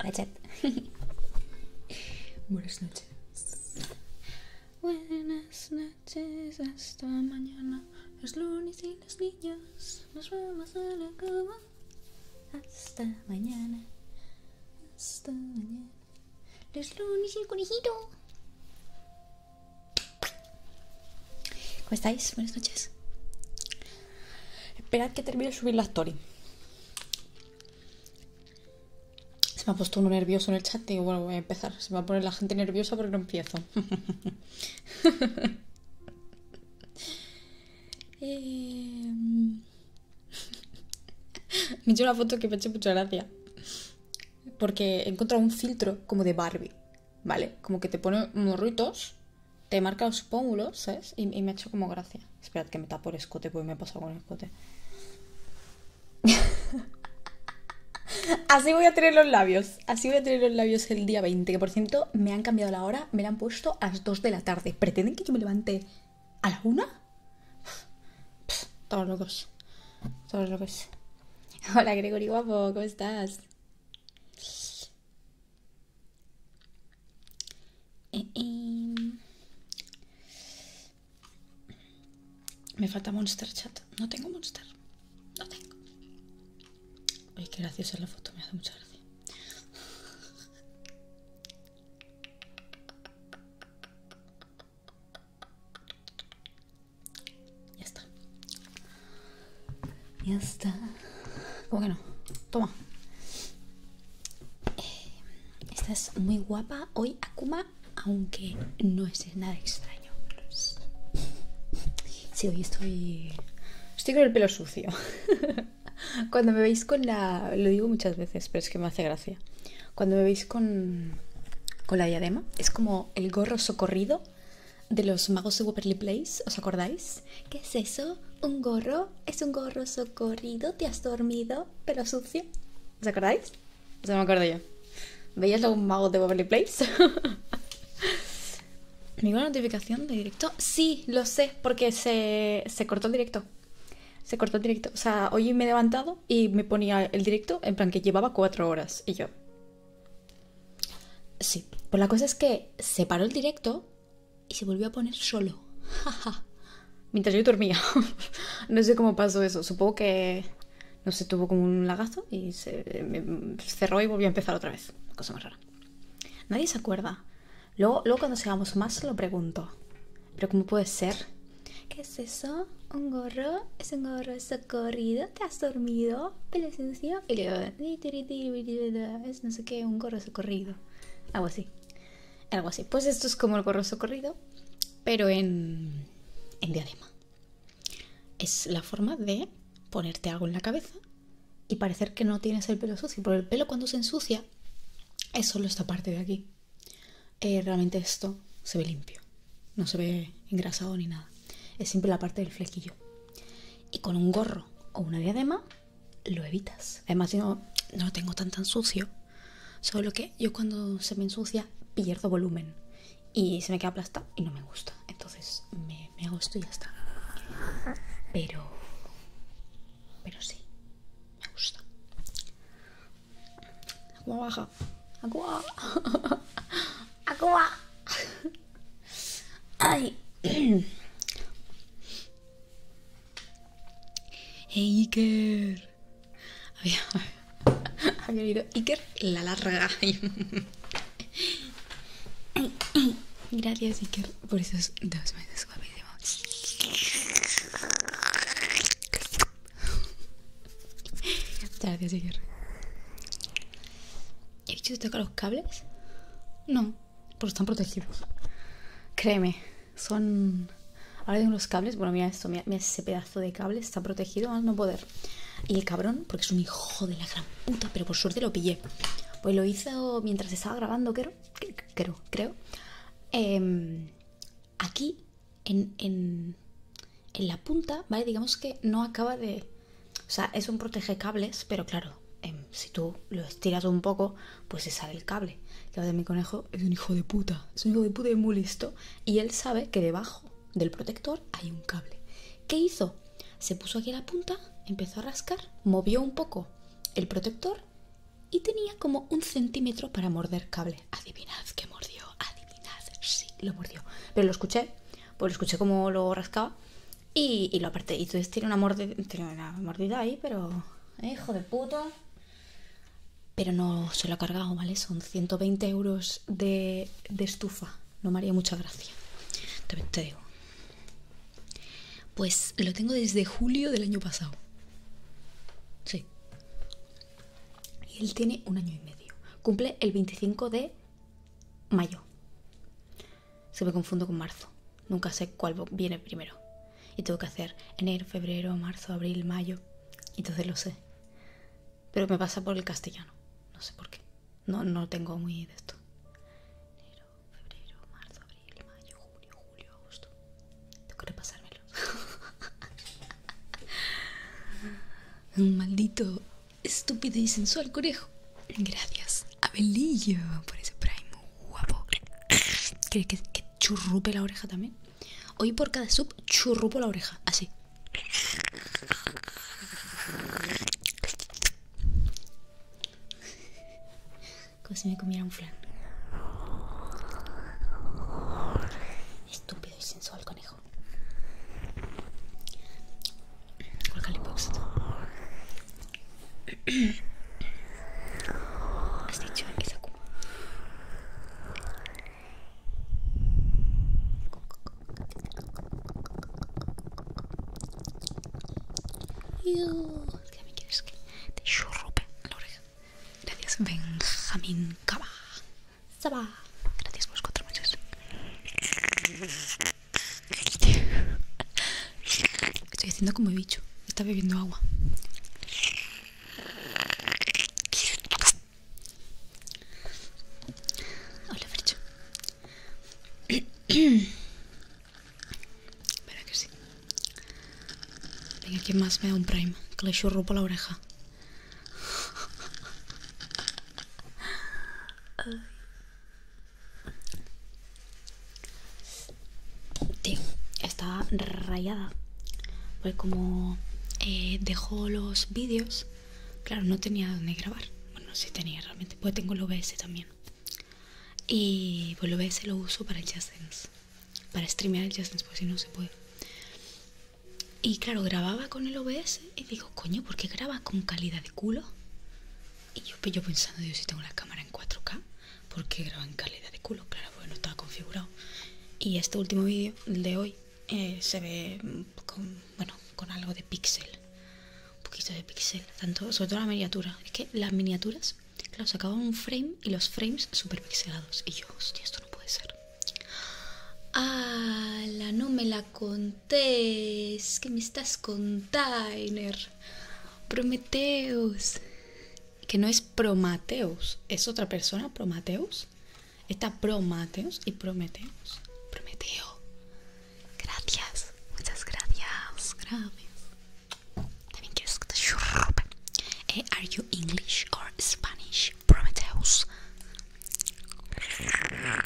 Hola Buenas noches. Buenas noches, hasta mañana. Los lunes y los niños nos vamos a la cama. Hasta mañana. Hasta mañana. Los lunes y el conejito. ¿Cómo estáis? Buenas noches. Esperad que termine de subir la story. Se me ha puesto uno nervioso en el chat y bueno, voy a empezar. Se va a poner la gente nerviosa porque no empiezo. Em. Me he hecho una foto que me ha mucha gracia porque he encontrado un filtro como de Barbie, ¿vale? Como que te pone morritos, te marca los pómulos, ¿sabes? Y, me ha hecho como gracia. Esperad que me tapo el escote, porque me he pasado con el escote. así voy a tener los labios. Así voy a tener los labios el día 20. Que por cierto, me han cambiado la hora, me la han puesto a las 2 de la tarde. ¿Pretenden que yo me levante a la 1? Todos locos. Todos locos. Hola Gregory Guapo, ¿cómo estás? Eh, eh. Me falta Monster Chat. No tengo Monster. No tengo. Uy, qué graciosa la foto, me hace mucha gracia. Ya está. Ya está. ¿Cómo que no? Toma. esta eh, estás muy guapa hoy, Akuma, aunque no es nada extraño. Sí, hoy estoy... Estoy con el pelo sucio. Cuando me veis con la... Lo digo muchas veces, pero es que me hace gracia. Cuando me veis con, la diadema, es como el gorro socorrido de los magos de Waverly Place, ¿os acordáis? ¿Qué es eso? ¿Un gorro? ¿Es un gorro socorrido? ¿Te has dormido? ¿Pero sucio? ¿Os acordáis? O sea, me acuerdo yo. ¿Veis a un mago de Waverly Place? ¿Ninguna notificación de directo? Sí, lo sé, porque se, se cortó el directo. Se cortó el directo. O sea, hoy me he levantado y me ponía el directo en plan que llevaba cuatro horas y yo. Sí, pues la cosa es que se paró el directo y se volvió a poner solo. Mientras yo dormía. no sé cómo pasó eso. Supongo que no se sé, tuvo como un lagazo y se cerró y volvió a empezar otra vez. Cosa más rara. Nadie se acuerda. Luego, luego cuando seamos más lo pregunto. Pero ¿cómo puede ser ¿Qué es eso? ¿Un gorro? ¿Es un gorro socorrido? ¿Te has dormido? ¿Pelesencia? Y es no sé qué, un gorro socorrido. Algo así. Algo así. Pues esto es como el gorro socorrido, pero en, en diadema. Es la forma de ponerte algo en la cabeza y parecer que no tienes el pelo sucio, porque el pelo cuando se ensucia es solo esta parte de aquí. Eh, realmente esto se ve limpio, no se ve engrasado ni nada. Es simple la parte del flequillo. Y con un gorro o una diadema lo evitas. Además, yo no, lo tengo tan tan sucio, solo que yo cuando se me ensucia pierdo volumen y se me queda aplastado y no me gusta. Entonces me, me hago esto y ya está. Pero, pero sí, me gusta. Agua baja. Agua. Agua. Ay. Hey, Iker. Había, había ido Iker la larga. Gracias, Iker, por esos dos meses guapísimos. ¡Gracias voy ¿He dicho que los cables? No, porque están protegidos. Créeme, son. Ahora tengo los cables. Bueno, mira esto, mira, ese pedazo de cable, está protegido al no poder. Y el cabrón, porque es un hijo de la gran puta, pero por suerte lo pillé. Pues lo hizo mientras estaba grabando, creo. Creo, creo. Em, aquí en, la punta, ¿vale? Digamos que no acaba de... O sea, es un protege cables, pero claro, em, si tú lo estiras un poco, pues se sale el cable. La de mi conejo es un hijo de puta, es un hijo de puta y muy listo. Y él sabe que debajo del protector hay un cable. ¿Qué hizo? Se puso aquí la punta, empezó a rascar, movió un poco el protector y tenía como un centímetro para morder cable. Adivinad que mordió, adivinad sí, lo mordió. Pero lo escuché, pues lo escuché como lo rascaba y, lo aparté. Y entonces tiene una, mordida, tiene una mordida ahí, pero... Eh, hijo de puta. Pero no se lo ha cargado, ¿vale? Son 120 euros de, estufa. No me haría mucha gracia. te digo. Pues lo tengo desde julio del año pasado. Sí. Y él tiene un año y medio. Cumple el 25 de mayo. Se me confundo con marzo. Nunca sé cuál viene primero. Y tengo que hacer enero, febrero, marzo, abril, mayo. Y entonces lo sé. Pero me pasa por el castellano. No sé por qué. No, no tengo muy de esto. Enero, febrero, marzo, abril, mayo, julio, julio, agosto. Tengo que repasármelo. Un maldito, estúpido y sensual conejo. Gracias, Abelillo, por ese primer. guapo. ¿Querés que, que churrupe la oreja también? Hoy por cada sub churrupo la oreja, así. Como si me comiera un flan. Estúpido y sensual conejo. ¿Cuál Alcalipox. Has dicho que se ocupa. ¿Qué me quieres que te churrupe la oreja? Gracias, Benjamín Cabá! Saba. Gracias por los cuatro meses. Estoy haciendo como bicho. Está bebiendo agua. Hola, fricho Espera que sí. Venga, ¿quién más me da un prime? Que le churro por la oreja estaba rayada. Pues como eh, dejó los vídeos, claro, no tenía dónde grabar. Bueno, si tenía realmente, pues tengo el OBS también. Y pues el OBS lo uso para el Dance, para streamear el Dance, pues si no se puede. Y claro, grababa con el OBS y digo, coño, ¿por qué graba con calidad de culo? Y yo, pues, pensando, dios, si tengo la cámara en 4K, ¿por qué graba en calidad de culo? Claro, bueno no estaba configurado. Y este último vídeo, de hoy, eh, se ve con, bueno, con algo de pixel. Un poquito de pixel, tanto, sobre todo la miniatura. Es que las miniaturas, claro, sacaban un frame y los frames super pixelados. Y yo, hostia, esto no puede ser. Ala, no me la contés. Que me estás con Tyner. Prometeus. Que no es Promateus. Es otra persona, Promateus. Está Promateus y Prometeus. Prometeo. Gracias. Muchas gracias. Gracias. También quiero eh, you English or Spanish? Gracias, gracias.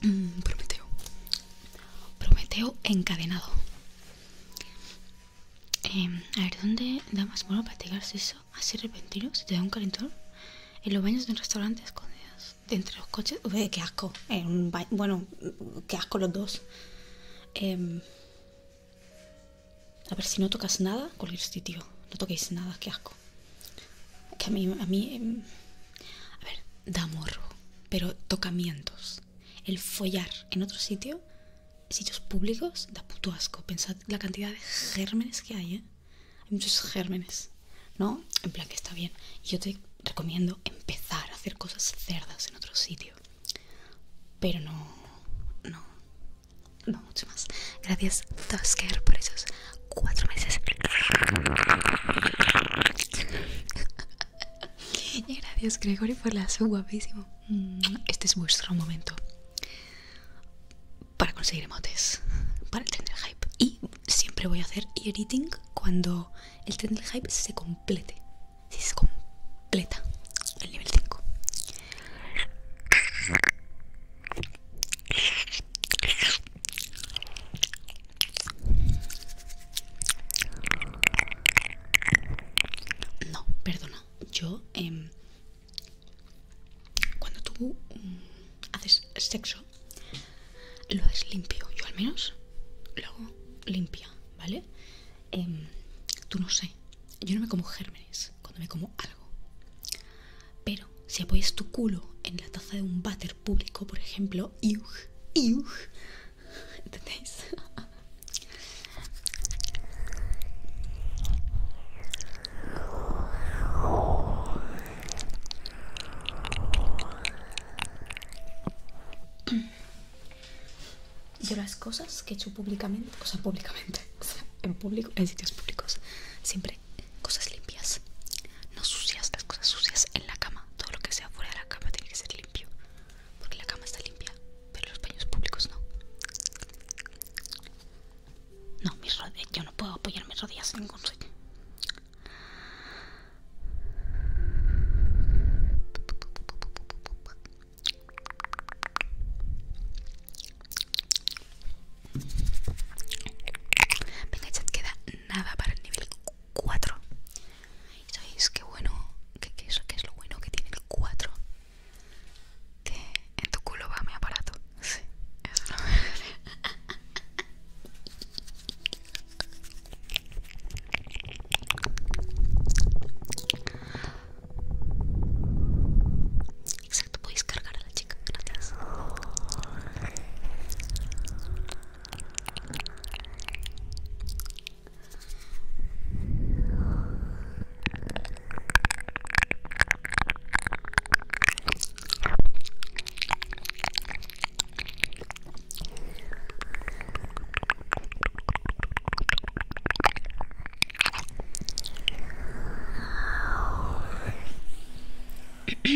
Te mm, Prometeo. Prometeo encadenado. Em, a ver, ¿dónde da más bueno practicarse eso? Así repentino, si te da un calentón. En los baños de un restaurante escondidos. De entre los coches. Uy, qué asco. un bueno, qué asco los dos. Em, a ver, si no tocas nada, cualquier sitio. No toquéis nada, qué asco. Que a mí. A, mí, em, a ver, da morro. Pero tocamientos. El follar en otro sitio sitios públicos da puto asco. Pensad la cantidad de gérmenes que hay, ¿eh? Hay muchos gérmenes, ¿no? En plan que está bien. yo te recomiendo empezar a hacer cosas cerdas en otro sitio. Pero no, no, no mucho más. Gracias, Tusker, por esos cuatro meses. y gracias, Gregory, por la su guapísimo. Mm, este es vuestro momento para conseguir emotes para el tren hype. Y siempre voy a hacer editing cuando el tren hype se complete. Si se completa el nivel 5. No, perdona. Yo em, cuando tú mm, haces sexo, lo haces limpio. Yo al menos lo hago limpia, ¿vale? Em, tú no sé. Yo no me como gérmenes cuando me como algo. Pero si apoyas tu culo en la taza de un váter público, por ejemplo, y ¿entendéis? Yo las cosas que he hecho públicamente, o públicamente, en público, en sitios públicos, siempre cosas limpias, no sucias, las cosas sucias en la cama, todo lo que sea fuera de la cama tiene que ser limpio, porque la cama está limpia, pero los baños públicos no. No, mis rodillas, eh, yo no puedo apoyar mis rodillas sin ningún Venga, Venga, chat, queda nada para el nivel 4. ¿Sabéis qué bueno? qué es lo bueno que tiene el 4? que en tu culo va mi aparato. Sí, eso lo voy Exacto, podéis cargar a la chica, gracias.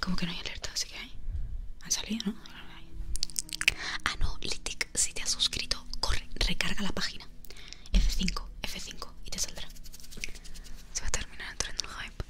Como que no hay alerta, así que hay. Ha salido, ¿no? Ah, no, Litic, si te has suscrito corre, recarga la página. F5, F5 y te saldrá. Se va a terminar entrando el hype.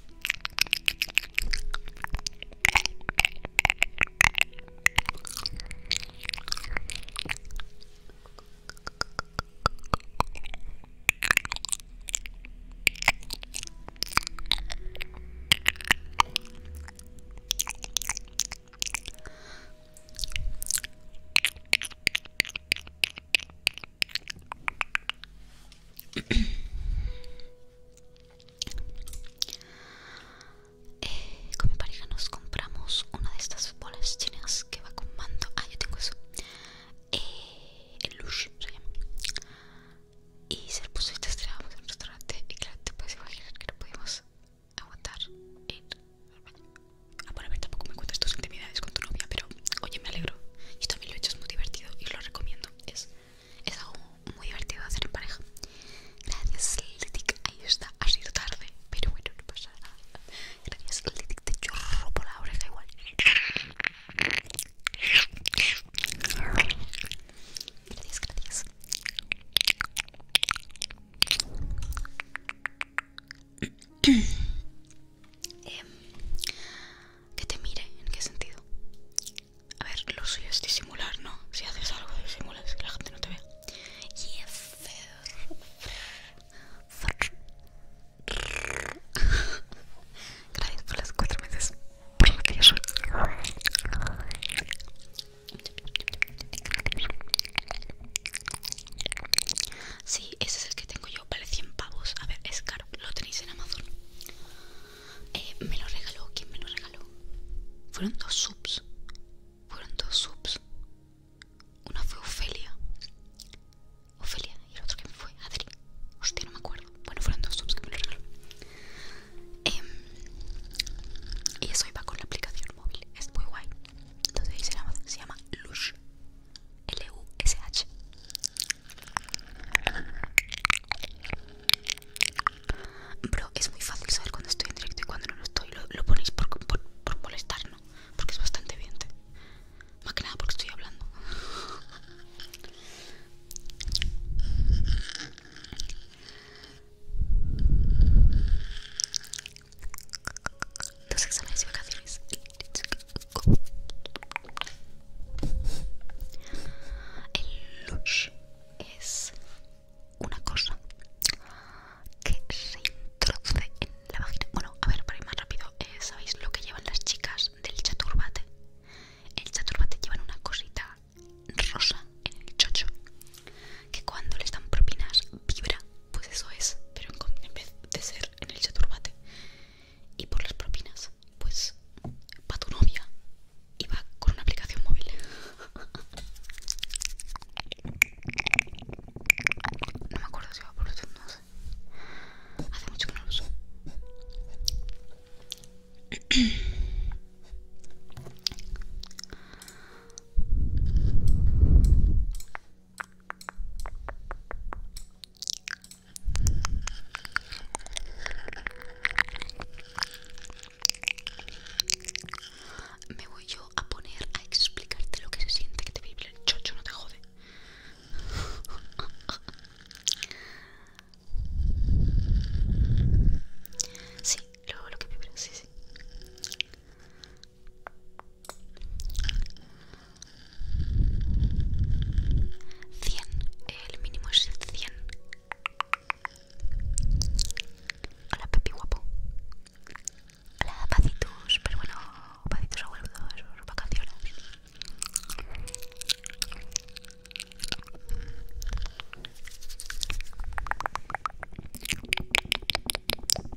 Eh, con mi pareja nos compramos una de estas bolas chinas que va con mando. Ah, yo tengo eso. Eh, el Lush se llama. Y se puso esta estrella en el restaurante. Y claro, te puedes imaginar que no pudimos aguantar, Y A Ah, a ver, tampoco me cuentas tus intimidades con tu novia, pero oye, me alegro. Y también lo he hecho, es muy divertido y lo recomiendo. Es, es algo muy divertido hacer en pareja. Gracias, Litic. Ahí está, ha sido tarde, pero bueno, no pasa nada. Gracias, Litic, te chorro por la oreja igual. Gracias, gracias. Em, que te mire, ¿en qué sentido? A ver, lo suyo es disimular, ¿no? Si haces algo, disimulas, que la gente no te vea. Gracias por las cuatro meses. Por lo que yo Sí, ese es el que tengo yo, vale 100 pavos. A ver, es caro, lo tenéis en Amazon. Eh, me lo regaló, ¿quién me lo regaló? Fueron dos subs. Fueron dos subs. Una fue Ofelia. Ofelia, y el otro que me fue Adri. Hostia, no me acuerdo. Bueno, fueron dos subs que me lo regaló. Em, y eso iba con la aplicación móvil. Es muy guay. Entonces ahí se llama, se llama Lush L-U-S-H Bro, es muy fácil saber cuando estoy en directo y cuando no lo estoy Lo, ponéis por, por, molestar, ¿no? Porque es bastante evidente Más que nada porque estoy hablando los exámenes y vacaciones. El Lush es una cosa que se introduce en la vagina. Bueno, a ver, para ir más rápido, eh, ¿sabéis lo que llevan las chicas del chaturbate? El chaturbate llevan una cosita rosa en el chocho que cuando les dan propinas vibra pues eso es, pero en, vez de ser en el chaturbate. Y por las propinas, pues va tu novia y va con una aplicación móvil. No me acuerdo si va por los no sé. Hace mucho que no lo uso. Me voy yo a poner a explicarte lo que se siente que te vibre el chocho, no te jode. Sí, luego lo que vibra, sí, sí. 100, el mínimo es 100. Hola, Pepi guapo. Hola, pacitos, pero bueno, pacitos abuelos, vacaciones.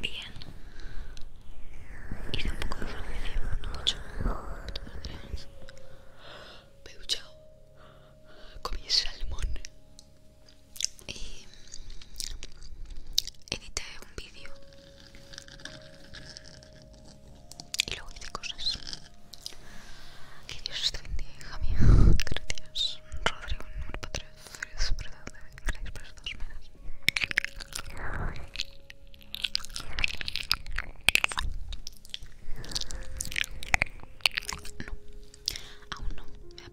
Bien. Y tampoco me familia, no mucho. Me he duchado. Comí salmón. Y edité un vídeo y luego dice cosas. Que Dios te bendiga, mía. Gracias, Rodrigo, número Gracias por dos No, aún no, me da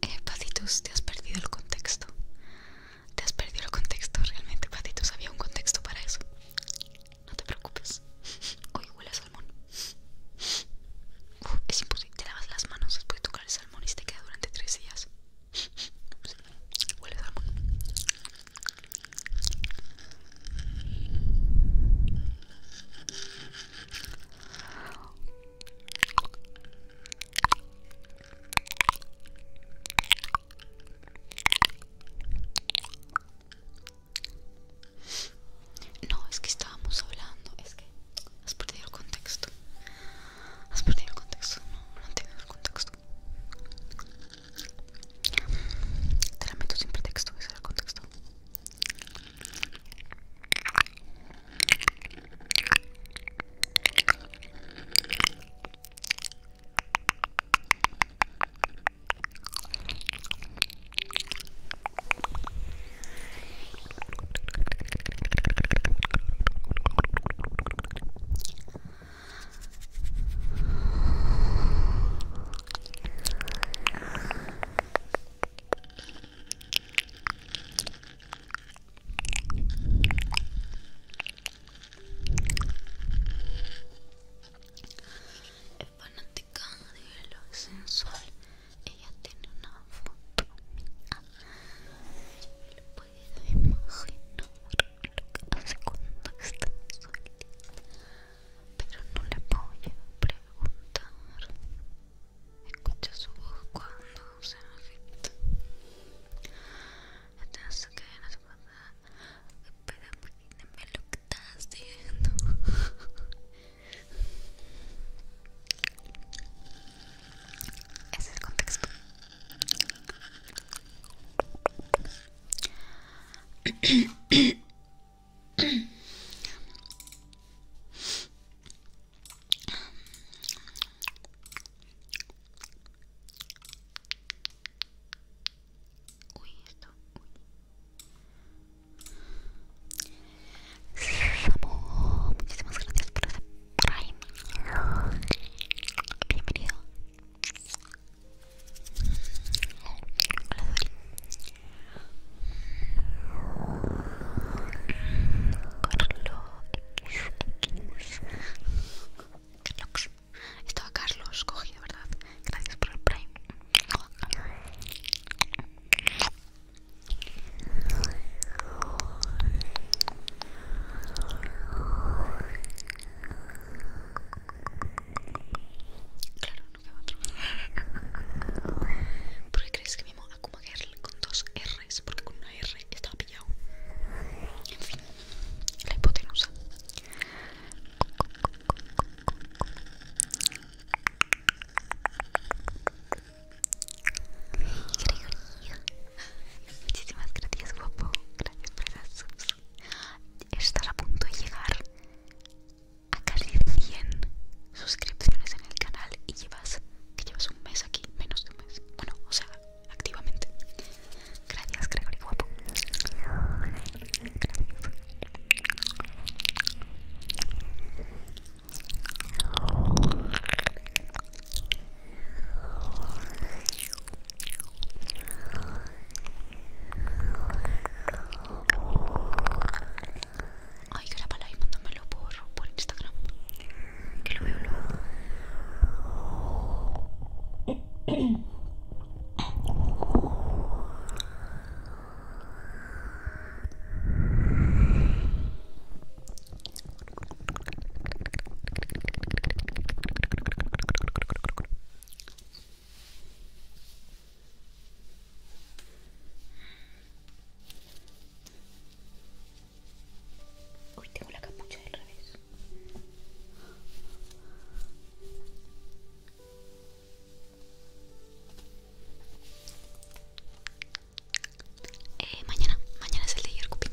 Eh, patitos, te has perdido el contexto. Te has perdido el contexto, realmente, patitos Había un contexto para eso. No te preocupes. Hoy huele a salmón. es imposible. Te lavas las manos después de tocar el salmón y te queda durante tres días. Huele a salmón. No, es que estábamos hablando, es que has perdido el contexto. Has perdido el contexto, no, no entiendo el contexto. Te la meto sin pretexto, ese es el contexto. Es fanática de lo sensual. Ella tiene una foto puedo imaginar hace cuando está solita, pero no le voy a preguntar. Escucha su voz cuando se afecta? Entonces, que no pasa? lo que estás haciendo. Ese es el contexto. Uy, esto. muchísimas gracias por ese Prime. video! Carlos Carlos Estaba Carlos cogido, ¿verdad? Gracias por el prime Claro, no a otro. ¿Por qué crees que vimos a Kuma Girl con dos R's? Porque con una R estaba pillado. En fin, la hipotenusa. Muchísimas gracias, guapo. Gracias por las a punto de llegar a casi 100 suscripciones en el canal y llevas que llevas un mes aquí, menos de un mes. Bueno, o sea, activamente. Gracias, Gregory guapo. Gracias. Ay, grabalo y mándamelo por, por Instagram. Que lo veo luego. Hoy tengo la capucha del revés. Eh, mañana, mañana es el de Yorkupin.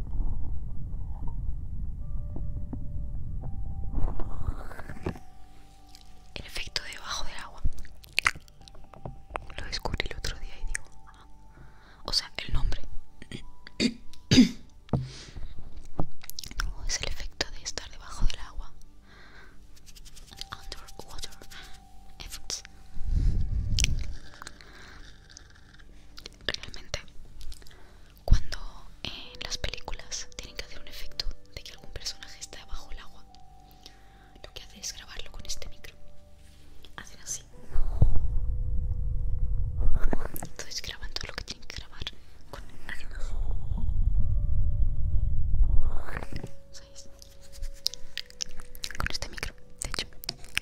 El efecto debajo del agua. Lo descubrí el otro día y digo, ah". o sea, el nombre. es el efecto de estar debajo del agua. Underwater effects realmente cuando en eh, las películas tienen que hacer un efecto de que algún personaje está bajo el agua lo que hacen es grabarlo con este micro hacen así entonces graban todo lo que tienen que grabar con así con este micro de hecho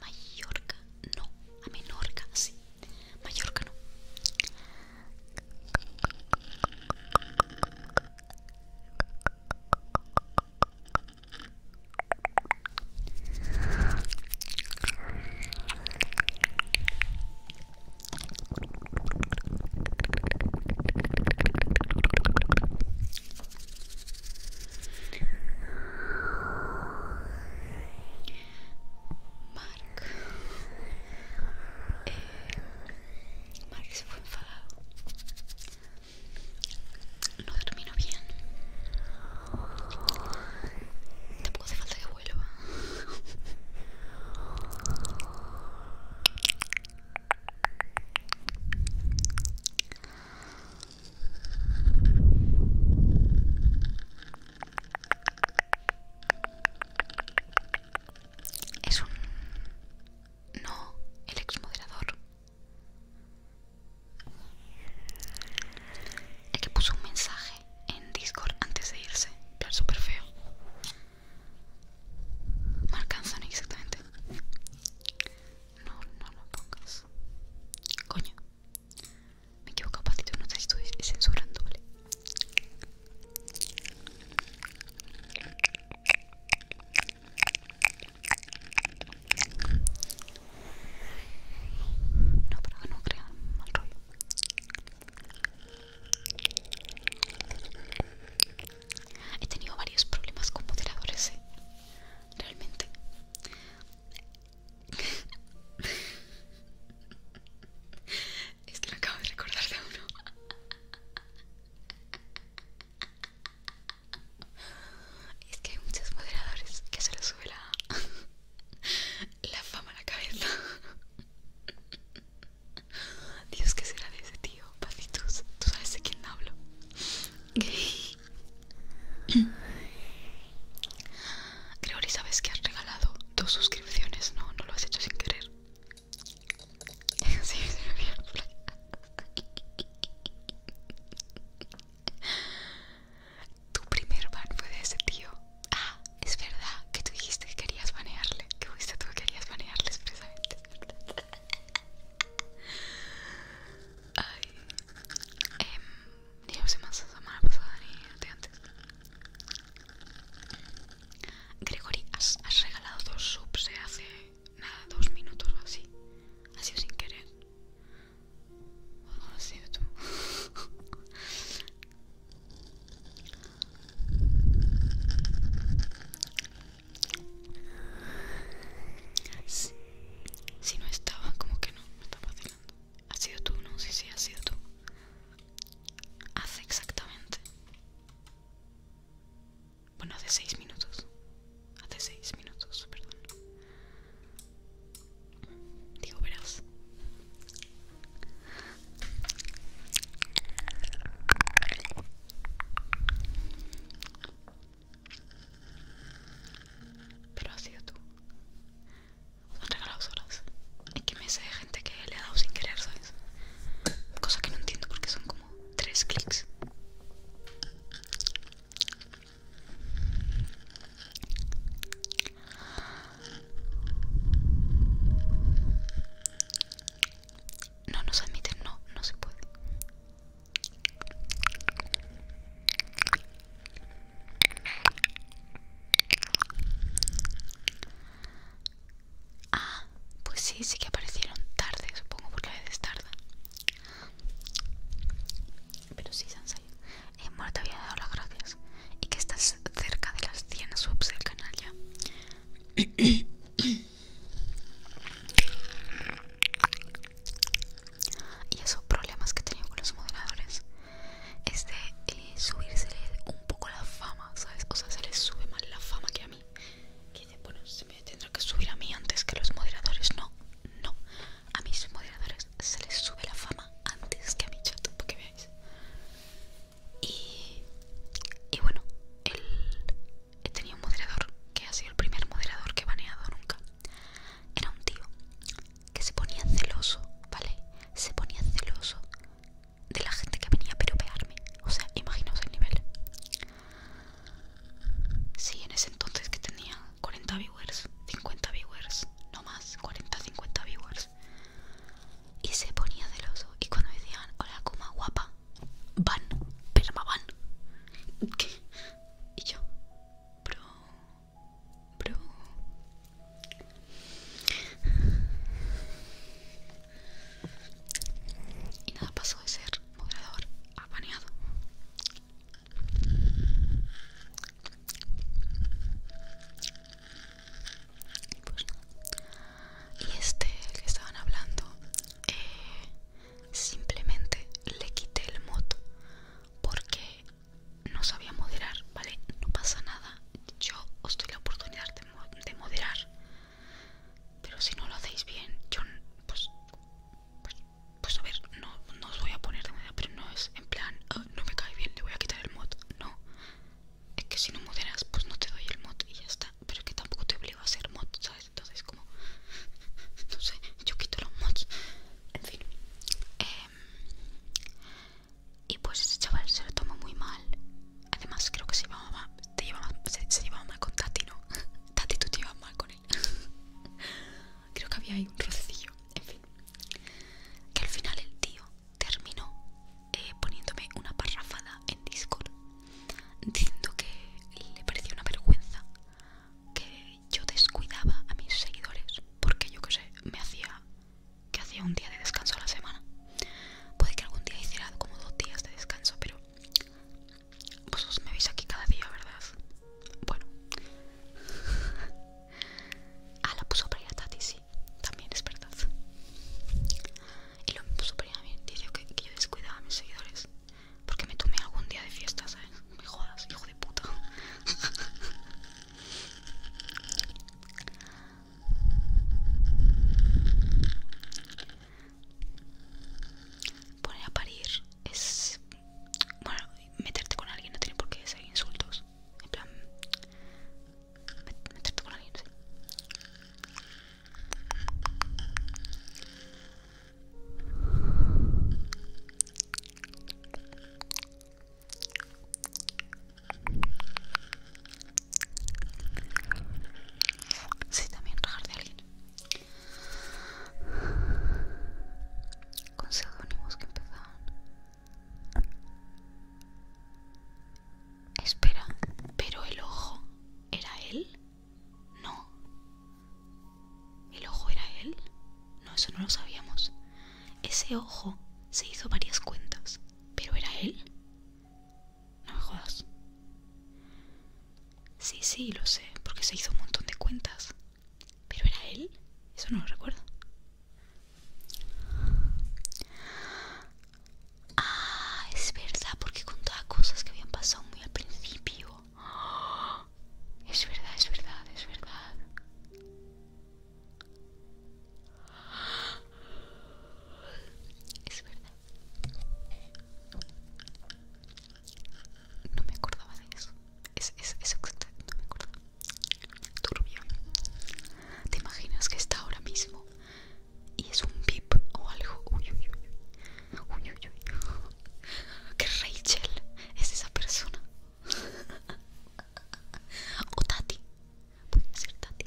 Mallorca, no, a Menorca, sí, Mallorca no. Mark eh, Mark se fue enfadado no terminó bien tampoco hace falta que vuelva es un... No, el moderador El que puso un mensaje en Discord antes de irse. Claro, súper feo. Mark son exactamente. No, no lo pongas. Coño. Me equivoco equivocado patito, no te estoy censurando, ¿vale? No, para que no crea mal rollo. He tenido varios problemas con modeladores, ¿eh? realmente. Es que lo acabo de recordar de uno. Es que hay muchos moderadores que se les sube la, la fama a la cabeza. Dios, ¿qué será de ese tío? Pacitos, tú sabes de quién hablo. Creo Gregory, sabes que has regalado dos suscripciones, ¿no? No lo has hecho sin querer. Sí, se me Tu primer ban fue de ese tío. Ah, es verdad que tú dijiste que querías banearle. Que fuiste tú que querías banearle expresamente. Ay. Em, Dios, más la semana pasada ni antes. Gregory, has, regalado dos subs de hace nada, dos minutos o así. Ha sido sin querer. O sido tú. Si, no estaba, como que no, me estaba pasando. ¿Ha sido tú? No sé sí, si sí, has sido tú. Hace exactamente. Bueno, hace seis minutos. Hace seis minutos, perdón. Digo, verás. Pero ha sido tú son horas. Hay que me de gente que le ha dado sin querer, ¿sabes? Cosa que no entiendo porque son como tres clics. No nos admiten, no, no se puede. Ah, pues sí, sí que aparecieron tarde, supongo, porque vez es tarde Pero sí, Sansai. salido. Eh, te había dado las gracias. Y que estás cerca de las 100 subs del canal ya y esos problemas que he tenido con los moderadores es este, de eh, subirse un poco la fama, ¿sabes? O sea, se les sube más la fama que a mí. Que bueno, se me tendrá que subir a mí antes que los moderadores. No, no. A mis moderadores se les sube la fama antes que a mi chat, porque veáis. Y, bueno, he tenido un moderador que ha sido el primer moderador que he baneado nunca. Era un tío que se ponía celoso, ¿vale? Se ponía celoso de la gente que venía a peropearme. O sea, imaginaos el nivel. Sí, en ese entonces que tenía 40 viewers, 50 viewers, no más, 40, 50 viewers. Y se ponía celoso. Y cuando decían, hola, como guapa, van, perma van. ¿Qué? Y yo, bro bro. Y nada pasó de ser moderador apaneado Pues Y este, el que estaban hablando, eh, simplemente le quité el mod porque no sabía moderar, ¿vale? No pasa nada, yo os doy la oportunidad de, moderar, pero si no lo hacéis bien, yo, pues, pues, pues, a ver, no, os voy a poner de moda, pero no es en plan, ah, no me cae bien, le voy a quitar el mod, no, es que si no moderas, pues no te doy el mod y ya está, pero es que tampoco te obligo a hacer mod, ¿sabes? Entonces, como, no sé, yo quito los mods, en fin. Em, y pues ese chaval se lo tomó muy mal. Además, creo que se llevaba mal, mal con Tati, ¿no? Tati, tú te llevas mal con él. creo que había ahí un rocecillo. En fin. Que al final el tío terminó eh, poniéndome una parrafada en Discord diciendo que le parecía una vergüenza que yo descuidaba a mis seguidores porque yo que sé, me hacía que hacía un día de descanso a la semana. Puede que algún día hiciera como dos días de descanso, pero vosotros me veis aquí cada día, ¿verdad? Bueno. ah, la puso para ir a Tati, sí. También es verdad. Y lo puso para a mí. Dice que, que yo descuidaba a mis seguidores. Porque me tomé algún día de fiesta, ¿sabes? Me jodas, hijo de puta. Poner a parir es. Bueno, meterte con alguien no tiene por qué ser insultos. En plan. Meterte con alguien, Sí, también rajar de alguien. Conseguimos que empezaban. Espera, pero el ojo era él? No. ¿El ojo era él? No, eso no lo sabíamos. Ese ojo se hizo varias cuentas. ¿Pero era él? No me jodas. Sí, sí, lo sé, porque se hizo un montón de cuentas. ¿Pero era él? Eso no lo recuerdo. Ah, es verdad, porque contaba cosas que habían pasado muy al principio. Es verdad, es verdad, es verdad. Es verdad. No me acordaba de eso. Es, es, no me acuerdo. Turbio. ¿Te imaginas que está ahora mismo? Y es un bip o algo. Uy, uy, uy. Uy, uy, uy. Que Rachel es esa persona. O Tati. Puede ser Tati.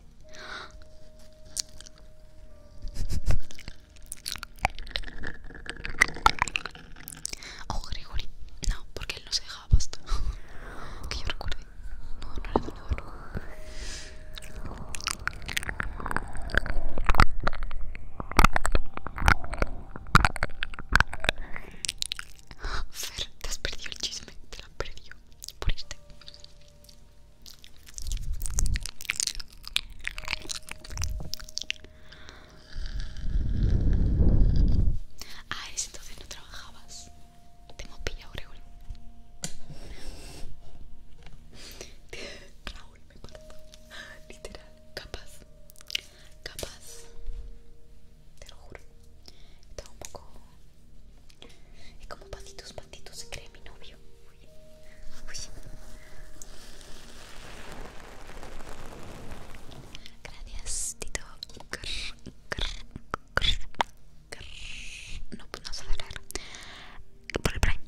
O oh, Gregory. No, porque él no se dejaba pasta. que yo recuerde. No, no era donador. Fer, te has perdido el chisme, te la has perdido por este Ah, es entonces no trabajabas. Te hemos pillado, Raúl me mató. Literal, capaz. Capaz te lo juro. Estaba un poco. Es como patitos, patitos, se cree mi novio. Uy. Uy. Gracias, Tito. No, puedo sabe Por el brain.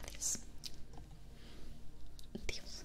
Gracias. Dios.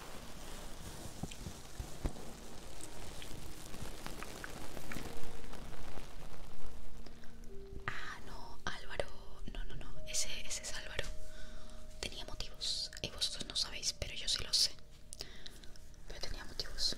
Ah, no, Álvaro. No, no, no. Ese, es Álvaro. Tenía motivos. Y vosotros no sabéis, pero yo sí lo sé. Pero tenía motivos.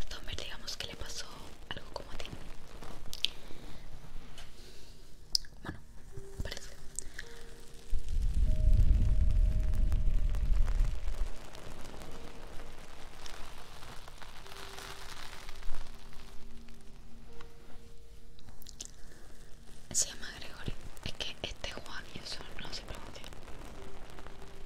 A Tomer digamos que le pasó algo como a ti. Bueno, parece. Se llama Gregory. Es que este Juan y eso no se pronuncia.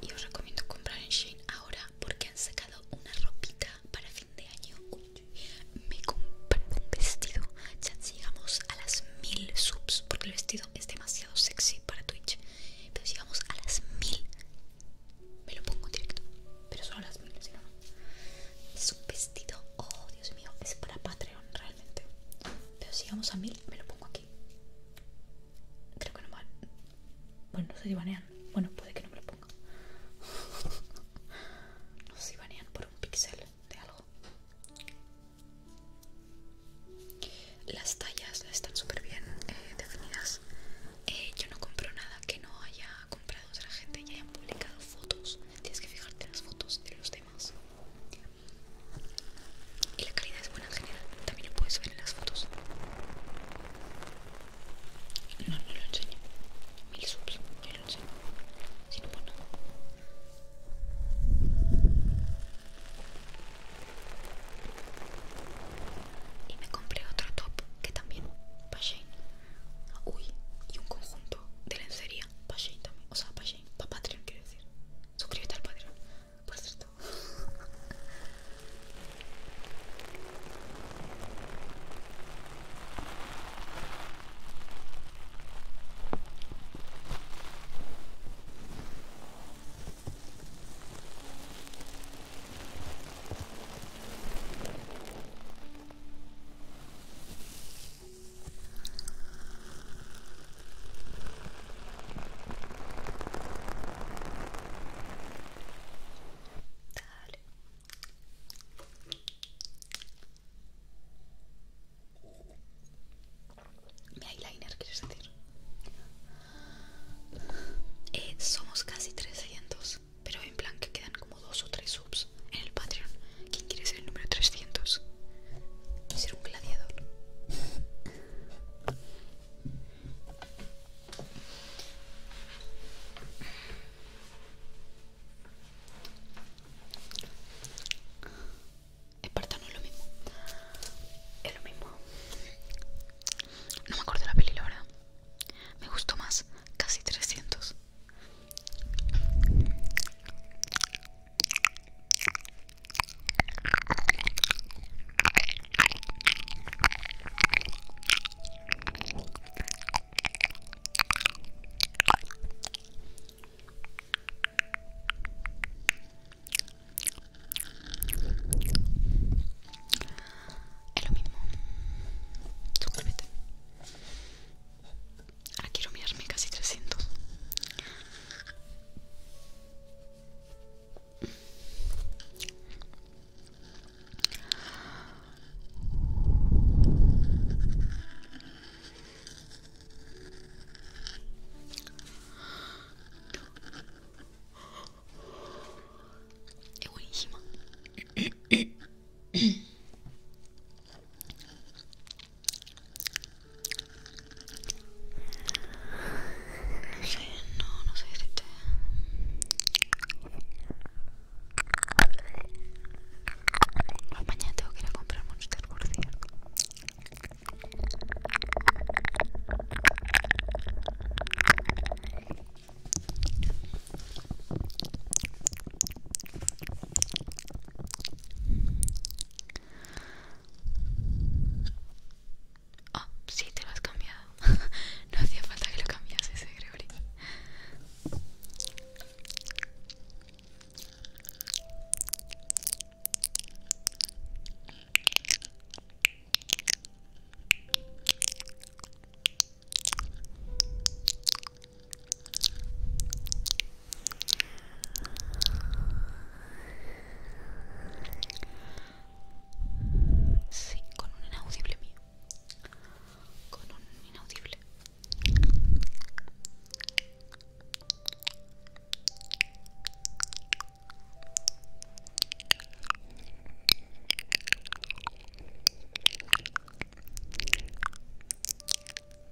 Y os recomiendo comprar en Shein ahora porque han sacado una ropita para fin de año. me compré un vestido. Ya llegamos a las mil subs porque el vestido es demasiado sexy para Twitch. Pero llegamos a las mil. Me lo pongo directo pero solo las mil, si no, no. Es un vestido, oh Dios mío, es para Patreon realmente. Pero si vamos a mil, me lo pongo aquí. Creo que no mal. Bueno, no sé si banean. Bueno, puede que no me lo ponga. no sé si banean por un pixel de algo. Las tallas están súper bien eh, definidas. Eh, yo no compro nada que no haya He comprado otra gente y hayan publicado fotos tienes que fijarte en las fotos de los demás y la calidad es buena en general también lo puedes ver en las fotos no, no lo enseño mil subs, no lo enseño si no, pues y me compré otro top que también va uy, y un conjunto de lencería. Payay también. O sea, payay. pa Patreon, quiere decir. Suscríbete al Patreon. Por cierto. Dale. Mi eyeliner, ¿quieres decir? Eh, somos casi 300 pero en plan que quedan como dos o tres subs en el Patreon. ¿Quién quiere ser el número 300? Ser un gladiador. Espartano es lo mismo. Es lo mismo. No me acuerdo de la peli, la verdad. Me gustó más. Casi 300. Es lo mismo. Suscríbete. Aquí ah, quiero casi 300. Es buenísima. No no, sé mañana tengo que ir a comprar Monster, por cierto. Oh, sí, te lo has cambiado. no hacía falta que lo cambiases, ¿eh, Gregory. Sí, con un inaudible mío. Con un inaudible.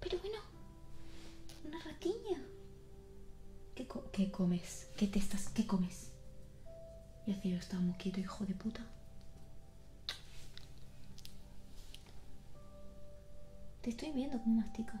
Pero bueno, una ratiña, ¿Qué, comes? ¿Qué te estás? ¿Qué comes? Y así yo estaba moquito, hijo de puta. Te estoy viendo como masticas.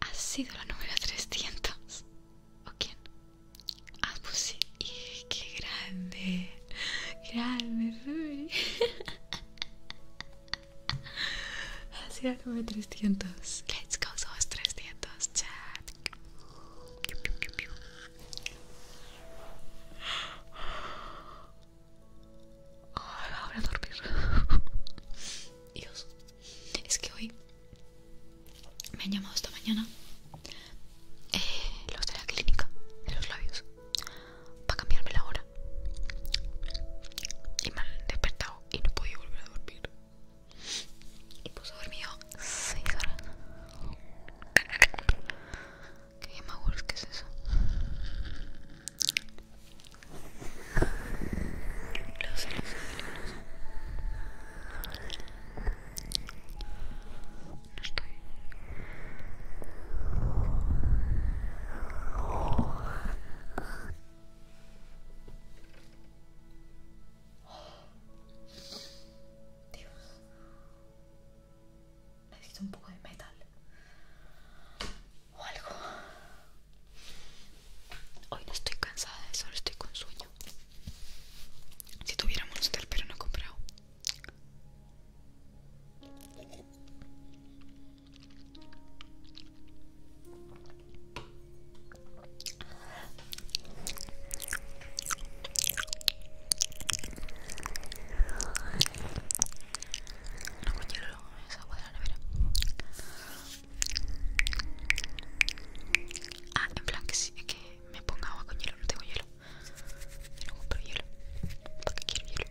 Has sido la número 300. ¿O quién? Ah, pues sí. ¡Qué grande! ¡Grande, Así era como 300. Let's go, somos 300, chat. ahora a dormir. Dios, es que hoy me han llamado esta mañana eh, los de la clínica de los labios para cambiarme la hora. Y me despertado y no podía volver a dormir. Y pues dormido 6 horas. ¿Qué es eso? Dios. Necesito un poco de metal. O algo. Hoy no estoy cansada, solo estoy con sueño. Si tuviéramos Monster, pero no he comprado. No hielo hielo, esa agua de la nevera. Ah, en plan que sí, es que me ponga agua con hielo, no tengo hielo. Yo no compro hielo. ¿Por qué quiero hielo?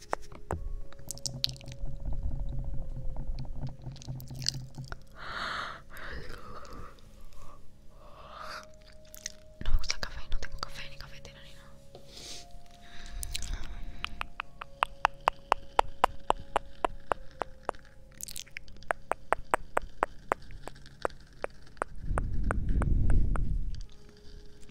No me gusta el café, no tengo café ni cafetera ni nada.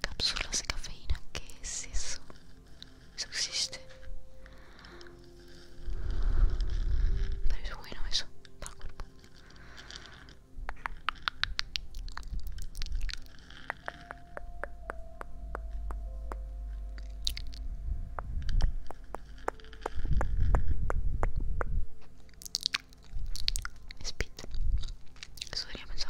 Cápsulas de cafeína, ¿qué es eso? Eso existe. Pero es bueno eso, para el eso sería yo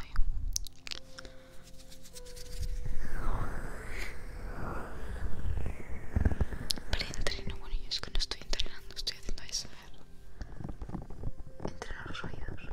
Vale, entreno, bueno, yo es que no estoy entrenando, estoy haciendo eso Entrenar los oídos.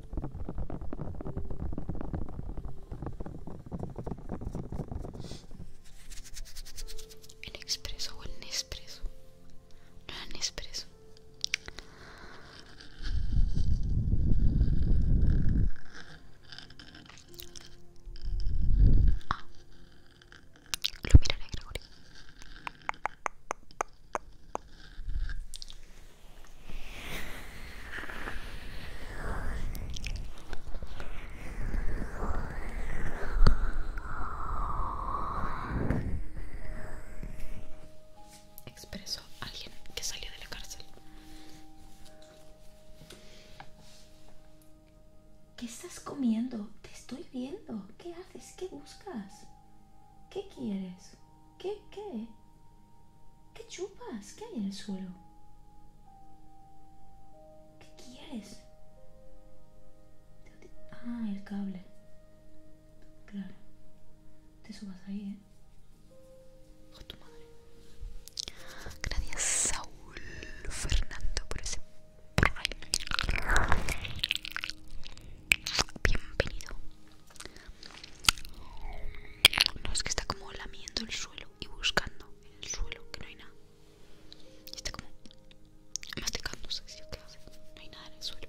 El expreso o el Nespresso. No era Nespresso. ¿Lo ah. Lo miraré, Gregorio. Expresó alguien que salió de la cárcel. ¿Qué estás comiendo? Te estoy viendo. ¿Qué haces? ¿Qué buscas? ¿Qué quieres? ¿Qué? ¿Qué? ¿Qué chupas? ¿Qué hay en el suelo? ¿Qué quieres? Ah, el cable. Claro. Te subas ahí, ¿eh? Con oh, tu madre. Gracias, Saúl Fernando, por ese Bienvenido. No, es que está como lamiendo el suelo y buscando en el suelo, que no hay nada. Y está como masticando. ¿sí? ¿qué hace? No hay nada en el suelo.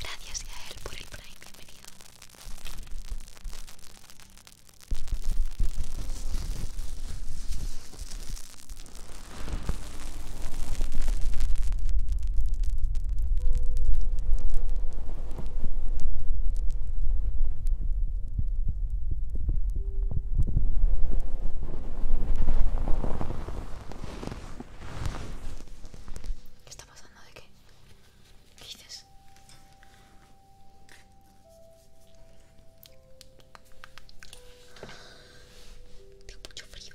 Gracias a él por el Prime, bienvenido. ¿Qué está pasando? ¿De qué? ¿Qué dices? Tengo mucho frío.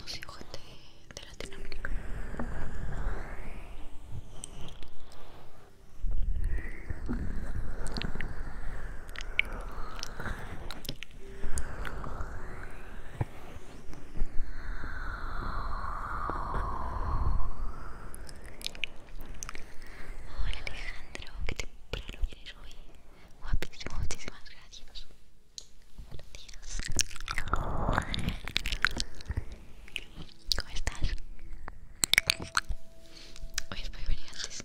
Los hijos de, de Latinoamérica. Hola Alejandro, que temprano vienes hoy. Guapísimo, muchísimas gracias. Buenos días. ¿Cómo estás? Hoy es muy antes.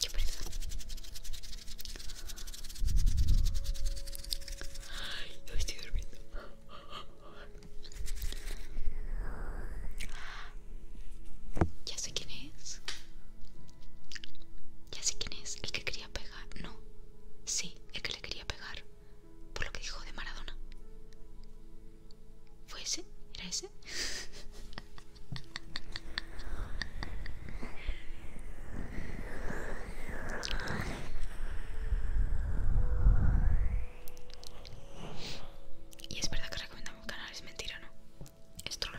Qué pereza. Ay, estoy durmiendo. Ya sé quién es. Ya sé quién es. El que quería pegar. No. Sí, el que le quería pegar. Por lo que dijo de Maradona. ¿Fue ese? ¿Era ese? Y es verdad que recomendamos un canal, es mentira, ¿no? Es trolo.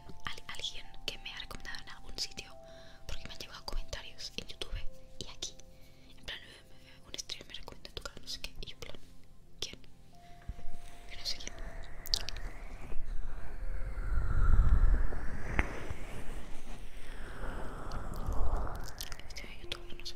alguien, que me ha recomendado en algún sitio porque me han llegado comentarios en YouTube y aquí en plan eh, eh, un stream me recomienda tu canal no sé qué y yo en plan quién yo no sé quién de YouTube no sé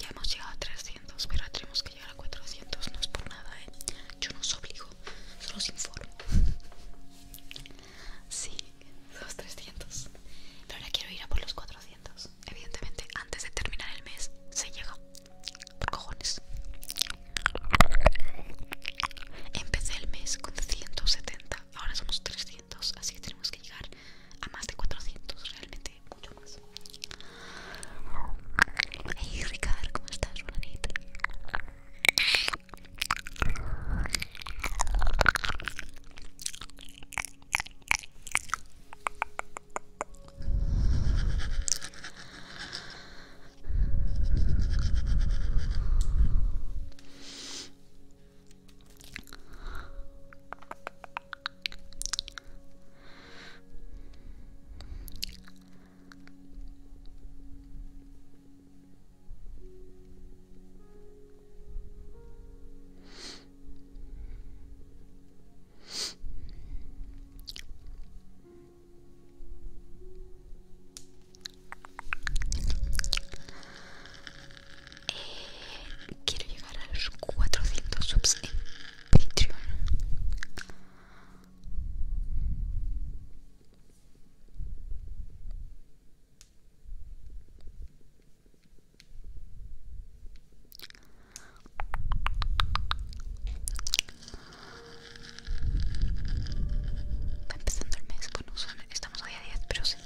Ya hemos llegado a 300, pero tenemos que llegar a 400. No es por nada, ¿eh? Yo no os obligo, solo os informo. Sí, somos 300. Pero ahora quiero ir a por los 400. Evidentemente, antes de terminar el mes, se llega. Por cojones. Empecé el mes con 170, ahora somos 300, así que tenemos que llegar a más de 400, realmente mucho más. Hey Ricardo, ¿cómo estás? Buenas eh, quiero llegar a los 400 subs Patreon. Va empezando el mes, bueno, estamos hoy a 10, pero sí.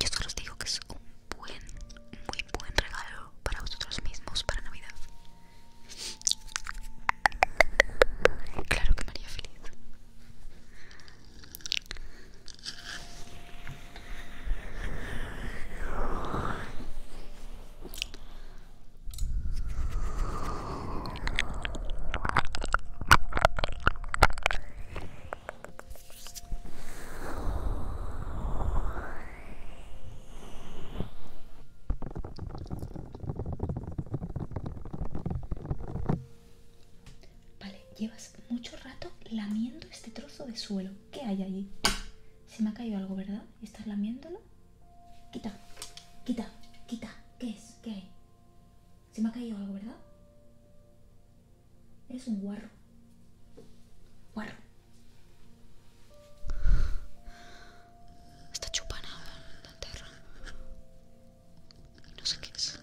Yo solo os digo que es un buen, muy buen regalo para vosotros mismos para Navidad. Claro que María feliz. Vale, llevas mucho rato lamiendo este trozo de suelo. ¿Qué hay allí? Se me ha caído algo, ¿verdad? ¿Estás lamiéndolo? Quita, quita, quita. ¿Qué es? ¿Qué hay? Se me ha caído algo, ¿verdad? ¿Es un guarro. Guarro. Está chupada la tierra. No sé qué es.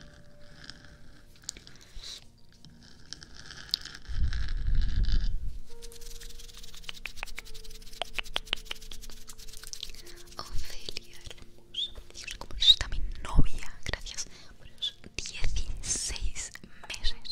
Ofelia hermosa. Dios, como está mi novia. Gracias por esos 16 meses.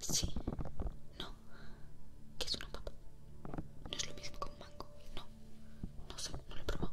Sí, no, que es una papa. No es lo mismo que un mango. No, no sé, no lo he probado.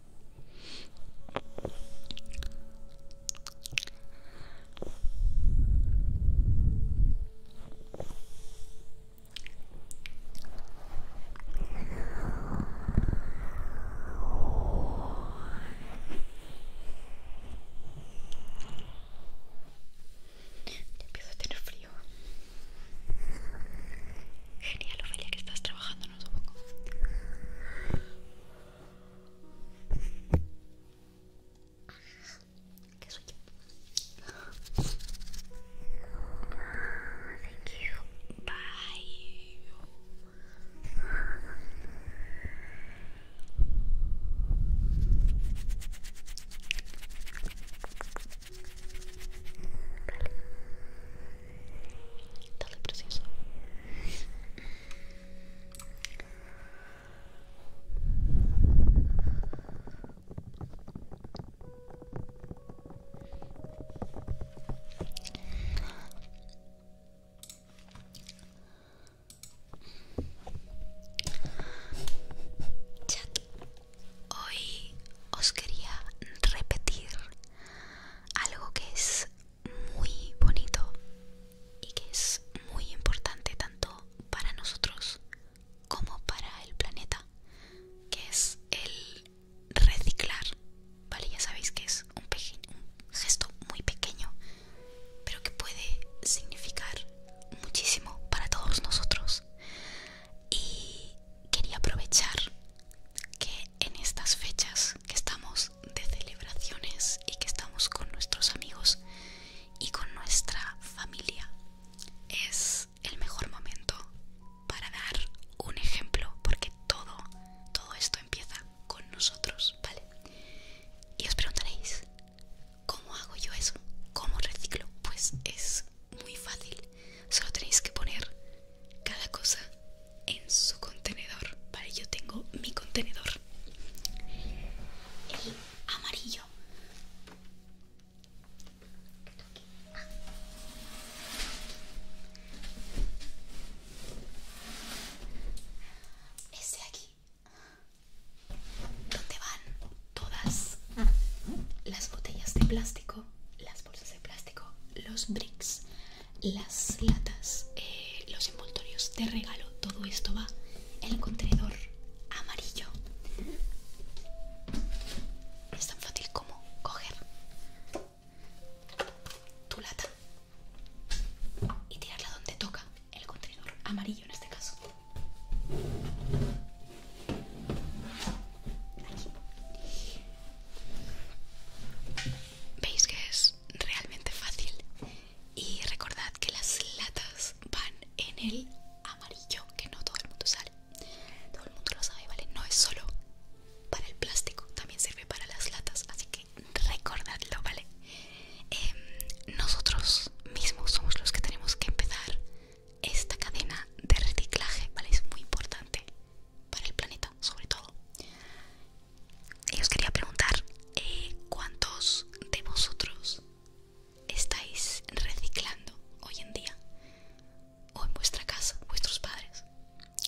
empiezo a tener frío. Genial, Ofelia, que estás trabajando, no supongo. ¿Qué soy yo? Thank you. Bye. Vale. Dale, Chat, hoy os quería repetir algo que es muy bonito y que es muy importante tanto para nosotros como para el planeta, que es el reciclar, ¿vale? Ya sabéis que es un, un gesto muy pequeño, pero que puede significar muchísimo para todos nosotros. Y quería aprovechar que en estas fechas que estamos de celebraciones y que estamos con nuestros amigos y con nuestra familia es el mejor momento para dar un ejemplo porque todo todo esto empieza con nosotros vale y os preguntaréis cómo hago yo eso cómo reciclo pues es muy fácil solo tenéis que poner cada cosa en su contenedor. para yo tengo mi contenedor. El amarillo. Este aquí. Donde van todas las botellas de plástico, las bolsas de plástico, los bricks, las latas, eh, los envoltorios de regalo, todo esto va en el contenedor amarillo. Es tan fácil como coger tu lata y tirarla donde toca el contenedor amarillo en este caso. ¿Veis que es realmente fácil y recordad que las latas van en el amarillo que no todo el mundo sabe todo el mundo lo sabe vale no es solo para el plástico también sirve para las latas así que recordadlo vale em, nosotros mismos somos los que tenemos que empezar esta cadena de reciclaje vale es muy importante para el planeta, sobre todo. Y os quería preguntar, eh, ¿cuántos de vosotros estáis reciclando hoy en día? O en vuestra casa, vuestros padres.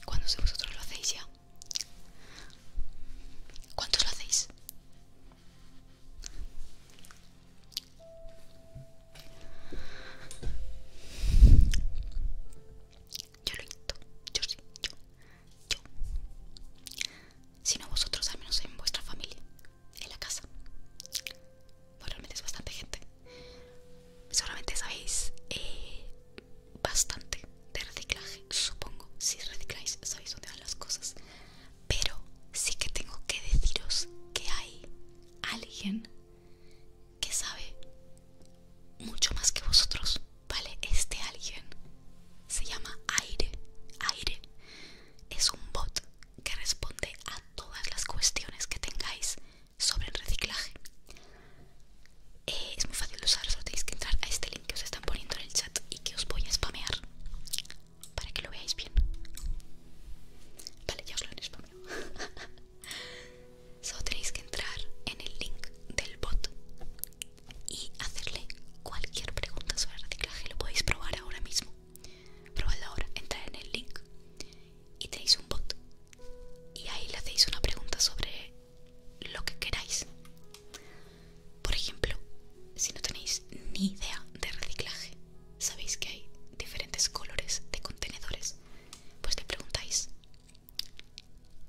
¿Cuántos de vosotros lo hacéis ya? ¿Cuántos lo hacéis? yo lo intento, yo sí, yo, yo. Si vosotros, al menos en vuestra familia, en la casa. moralmente es bastante gente. Seguramente sabéis eh, bastante de reciclaje, supongo. Si recicláis, sabéis dónde van las cosas. Pero sí que tengo que deciros que hay alguien que sabe mucho más que vosotros, ¿vale? Este alguien se llama Aire. Aire es un bot que responde a todas las cuestiones que tengáis sobre el reciclaje. Eh, es muy fácil de usar, solo tenéis que entrar a este link que os están poniendo en el chat y que os voy a spamear para que lo veáis bien. Vale, ya os lo han spameado. solo tenéis que entrar en el link del bot y hacerle cualquier pregunta sobre reciclaje. Lo podéis probar ahora mismo. Probadlo ahora, Entrar en el link y tenéis un bot y ahí le hacéis una pregunta sobre lo que queráis. Por ejemplo, si no tenéis ni idea de reciclaje, sabéis que hay diferentes colores de contenedores, pues le preguntáis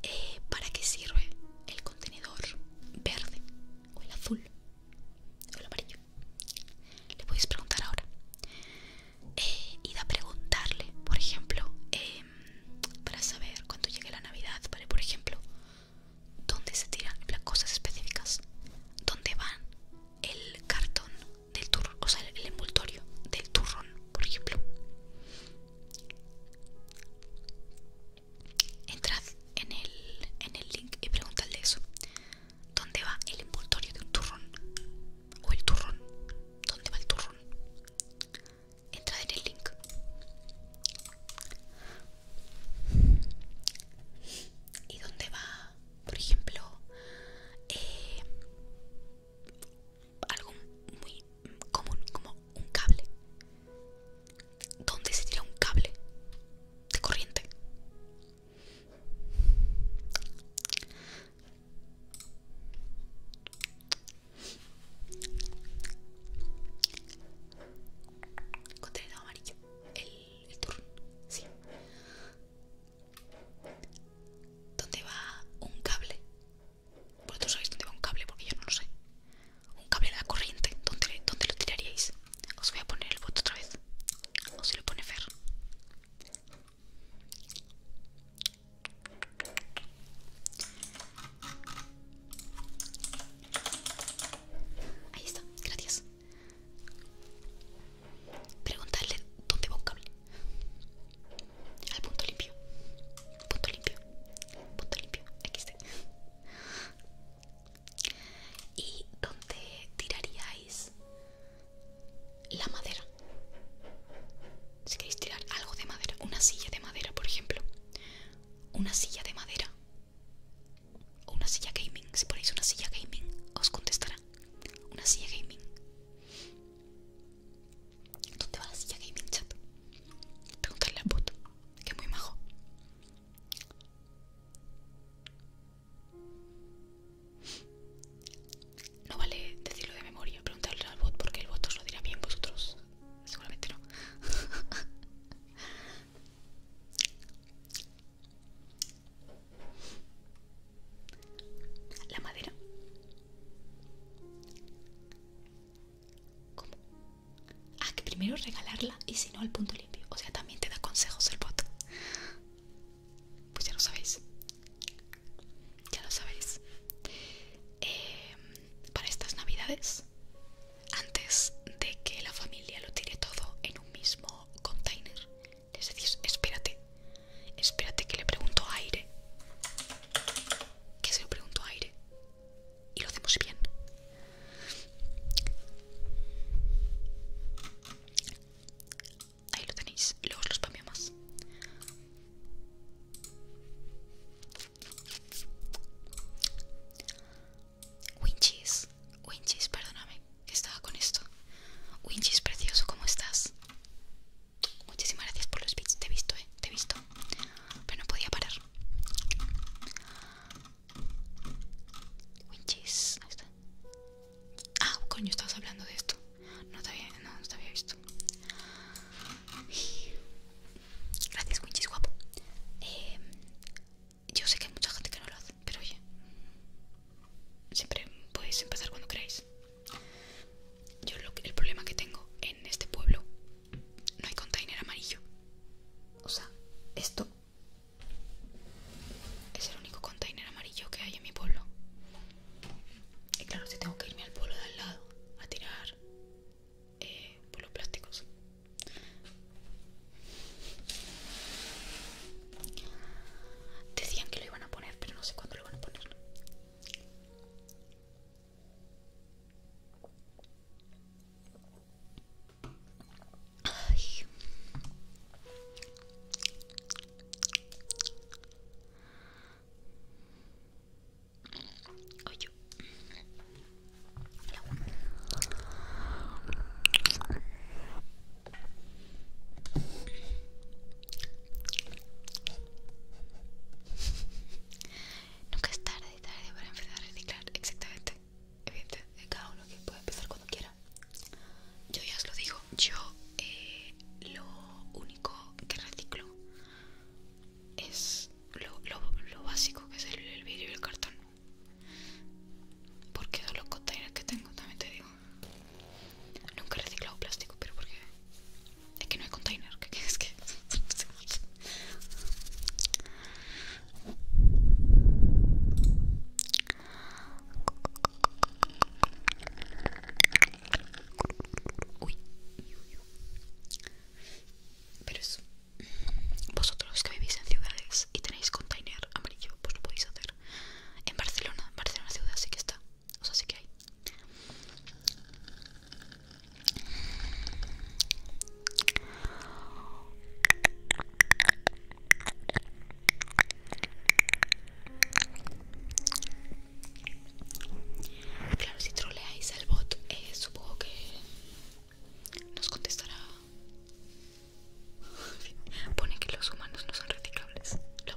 eh, para qué sirve el contenedor verde o el azul o el amarillo le podéis preguntar ahora eh, y a preguntarle por ejemplo em, para saber cuando llegue la navidad para por ejemplo dónde se tiran las cosas específicas dónde van el cartón del turrón o sea el envoltorio del turrón por ejemplo Entrad en el, en el link y preguntadle eso. ¿Dónde va el envoltorio de un turrón? ¿O el turrón? ¿Dónde va el turrón? Entrad en el link. ¿Y dónde va, por ejemplo, eh, algo muy común como un cable. ¿Dónde se tira un cable de corriente? Contenedor amarillo, el, el turno, sí. ¿Dónde va un cable vosotros pues sabéis dónde va un cable porque yo no lo sé. Un cable de la corriente, ¿dónde, lo tiraríais? Os voy a poner el voto otra vez. O si lo pone Fer. Ahí está, gracias. Preguntarle dónde va un cable al punto limpio punto limpio punto limpio aquí y dónde tiraríais la madera si queréis tirar algo de madera una silla de madera por ejemplo una silla de madera o una silla gaming si ponéis una silla gaming os contestará una silla gaming ¿Dónde va la silla gaming chat? Preguntarle al Bot, que es muy majo. No vale decirlo de memoria, preguntarle al bot porque el bot os lo dirá bien vosotros. Seguramente no. La madera. ¿Cómo? Ah, que primero regalarla y si no al punto limpio. O sea, también te da consejos el bot. Pues ya lo sabéis. Ya lo sabéis. Em, para estas navidades, antes de que la familia lo tire todo en un mismo container, les decís, espérate, espérate que le pregunto a aire. Que se lo pregunto a aire y lo hacemos bien. Ahí lo tenéis, luego os lo Winches. más. Winchis, perdóname, estaba con esto. Winchis, precioso, ¿cómo estás? Muchísimas gracias por los bits, te he visto, eh, te he visto pero no podía parar. Winchis, ahí Ah, coño, estabas hablando de esto. No te había, no, no había visto. Gracias, Winchis, guapo. Em, yo sé que hay mucha gente que no lo hace, pero oye, siempre podéis empezar cuando queráis. Yo lo que, el problema que tengo en este pueblo no hay container amarillo. O sea, esto es el único container amarillo que hay en mi pueblo. Y claro, si tengo que irme al pueblo de al lado a tirar eh, polos plásticos. Decían que lo iban a poner, pero no sé cuándo lo van a poner. Ay. Nunca es tarde tarde para empezar a reciclar exactamente evidente cada uno que puede empezar cuando quiera yo ya os lo digo yo eh, lo único que reciclo es lo, lo, lo básico que es el, el vidrio y el cartón porque son los containers que tengo también te digo nunca he reciclado plástico pero porque es que no hay container, que es que. Uy. Pero eso. Vosotros que vivís en ciudades y tenéis container amarillo, pues lo podéis hacer. En Barcelona, Barcelona ciudad sí que está. O sea, sí que hay. Claro, si troleáis al bot, eh, supongo que nos contestará. Pone que los humanos no son reciclables. Lo he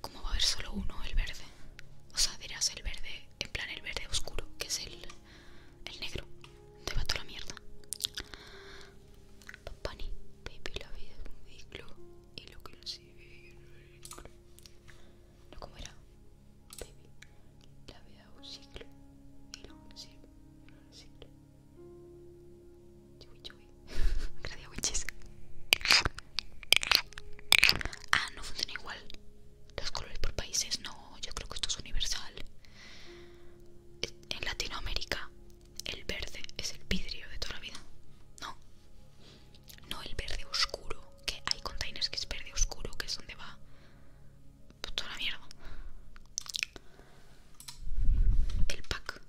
¿Cómo va a haber solo uno, el verde? O sea, dirás el verde, en plan el verde oscuro, que es el, negro. Te va toda la mierda. la vida lo que no, ¿cómo era? Baby, la vida un ciclo. Y no, un ciclo. Un siglo. Chuy, chuy. Gracias, Ah, no funciona igual. Los colores por países, no. Yo creo que esto es universal. En Latinoamérica, el verde es el vidrio de toda la vida. No no el verde oscuro, que hay containers que es verde oscuro, que es donde va pues toda la mierda. El pack.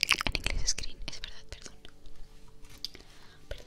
En inglés screen, es verdad, perdón. Perdón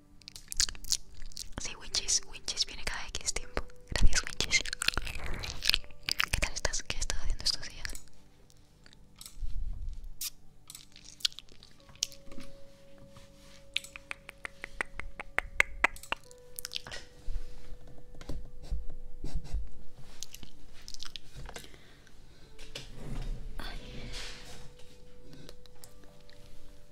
Sí, Winchis, Winchis viene cada X tiempo. Gracias, Winchis. ¿Qué tal estás? ¿Qué estado haciendo estos días? Ay.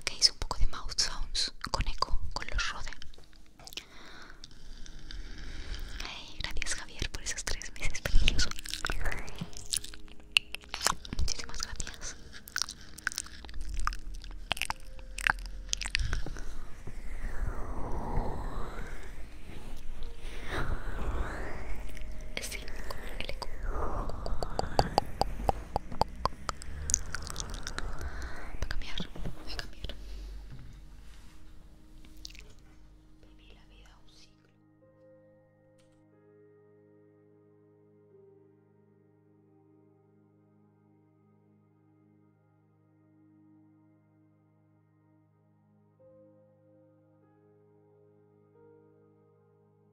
Okay, hice un poco de mouth sounds con eco, con los Rode. gracias Javier por esos tres meses preciosos. Muchísimas gracias. con el eco. Voy a cambiar, voy a cambiar. Viví la vida un siglo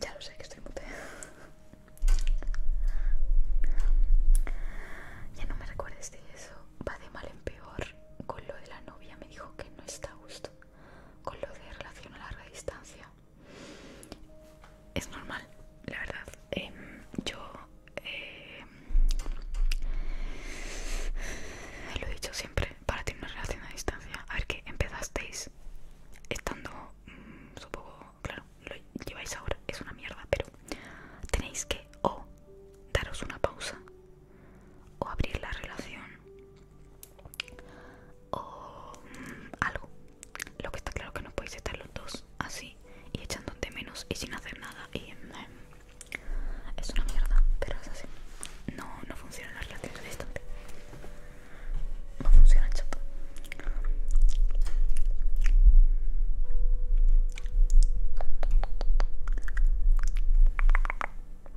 Ya lo sé que estoy mute. ya no me recuerdes de eso. Va de mal en peor con lo de la novia me dijo que no está a gusto con lo de relación a larga distancia. Es normal, la verdad. Em, yo em, lo he dicho siempre, para tener una relación a distancia, a ver que empezasteis estando, mm, supongo, claro, lo lleváis ahora, es una mierda, pero tenéis que o daros una pausa o abrir la relación o mm, algo. Lo que está claro que no podéis estar los dos así y echándote menos y sin hacer nada y eh, es una mierda, pero es así. No, no la relación relaciones No funciona chapa.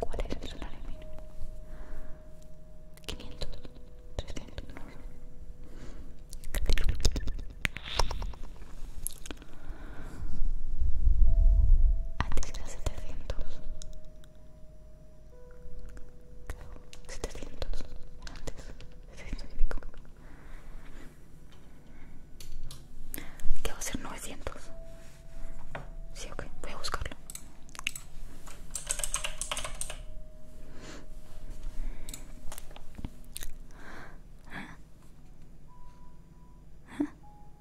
¿Cuál es el salario mínimo? 500, 300, no antes era 700 Creo, 700 Antes, 700 y pico ¿Qué va a ser 900? Sí, ok, voy a buscarlo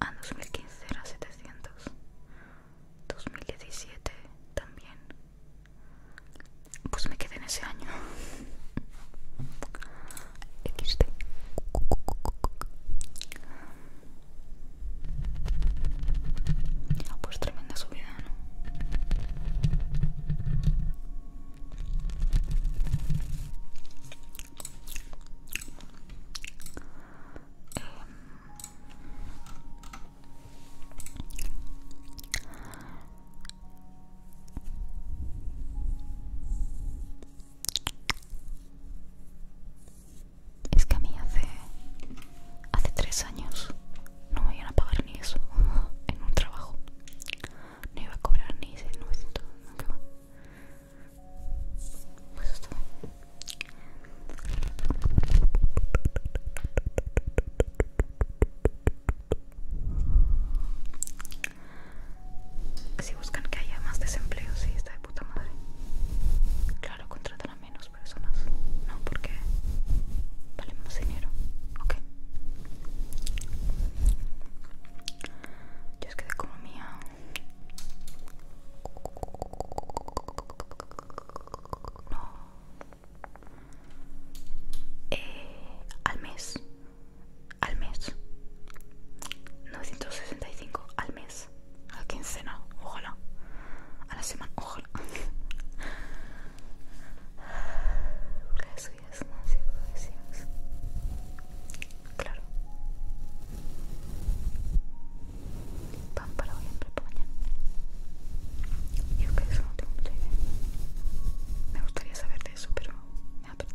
A 2015 era 700. 2017 también. Pues me quedé en ese año. XD. Ah, pues tremenda subida, ¿no? es que a mí hace hace tres años no me iban a pagar ni eso en un trabajo no iba a cobrar ni 900 nunca pues esto. Si buscan que haya más desempleo, sí, está de puta madre. Claro, contratan a menos personas. No, porque vale más dinero. Yo es que de economía eh, al mes. Al mes. 965 al mes. A la quincena, ojalá. A la semana, ojalá. Gracias, Nancy, gracias. Claro. Pan para hoy, hambre para mañana. Yo que eso no tengo mucha idea. Me gustaría saber de eso, pero me apreté.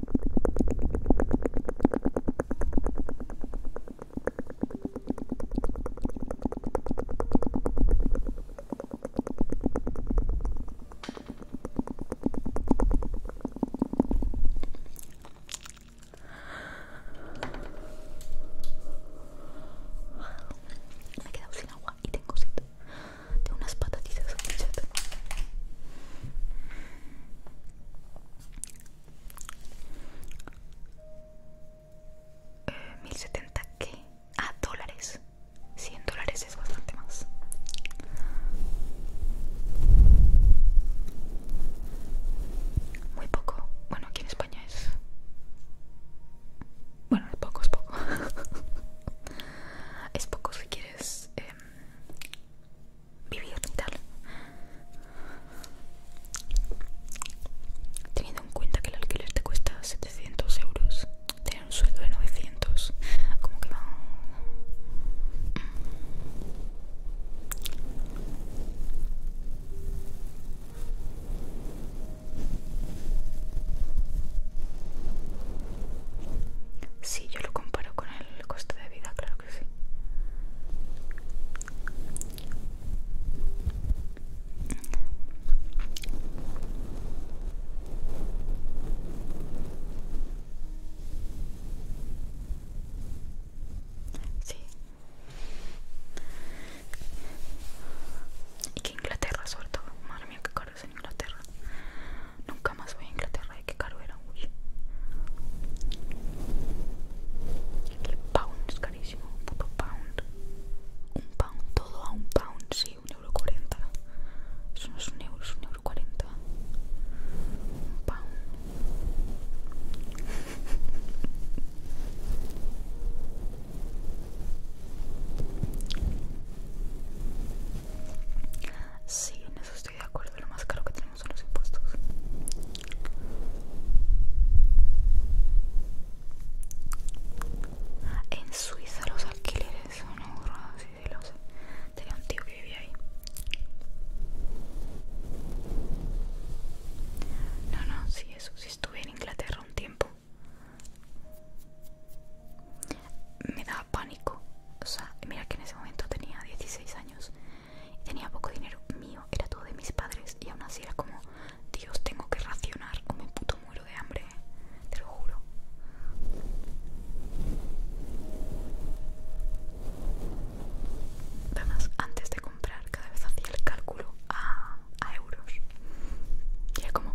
Me he quedado sin agua y tengo sed. Tengo unas patatitas. Eh, ¿Mil 1070 que a dólares 100 dólares es bastante más muy poco bueno aquí en España es bueno es poco es poco es poco si quieres em, vivir tal teniendo en cuenta que el alquiler te cuesta 700 euros tener un sueldo de 900 como que va si sí, yo lo comparo con el coste de vida claro sí. Y que Inglaterra suelto Madre mía, qué caro es en Inglaterra. Nunca más voy a Inglaterra qué caro era, uy. El pound es carísimo, un puto pound. Un pound, todo a un pound, sí, un euro cuarenta. Eso no es un euro, es un euro cuarenta. Un pound. Sí, en eso de acuerdo, lo más caro que tenemos son los impuestos. En Suiza los alquileres son horribles. Tenía un tío que vivía ahí. No, no, sí, eso, sí estuve en Inglaterra un tiempo. Me daba pánico, o sea, mira que en ese momento tenía 16 años tenía poco dinero mío, era todo de mis padres y aún así era como, Dios, tengo que racionar o me puto muero de hambre, eh". te lo juro. Además, antes de comprar cada vez hacía el cálculo a, a euros y era como...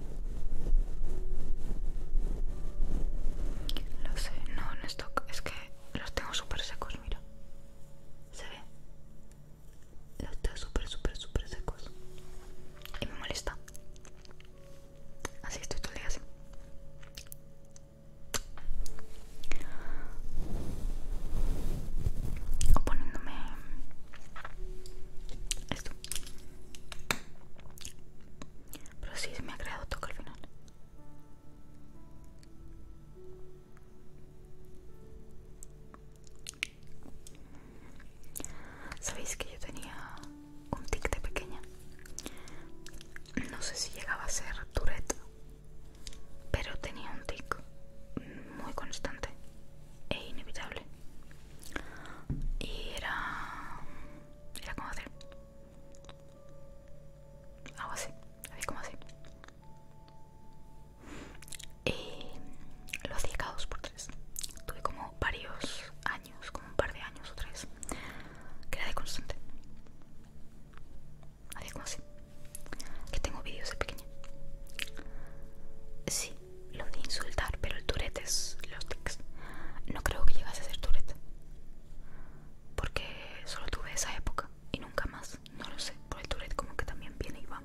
Lo sé, no, no esto es que los tengo súper secos, mira. ¿Se ve? Los tengo súper, súper, súper secos. Y me molesta. Así estoy todo el día así. O poniéndome esto pero sí me ha creado toque al final. Sabéis que yo tenía un tic de pequeña. No sé si llegaba a ser Tourette, pero tenía un tic muy constante e inevitable. Y era era como hacer algo así, así como así. Y lo hacía cada dos por tres. Tuve como varios años, como un par de años o tres, que era de constante. Hacía como así. Que tengo vídeos de pequeña. Sí, lo de insultar, pero el turete es los tics. No creo que llegase a ser Tourette. Porque solo tuve esa época y nunca más. No lo sé. Por el Tourette como que también viene y va.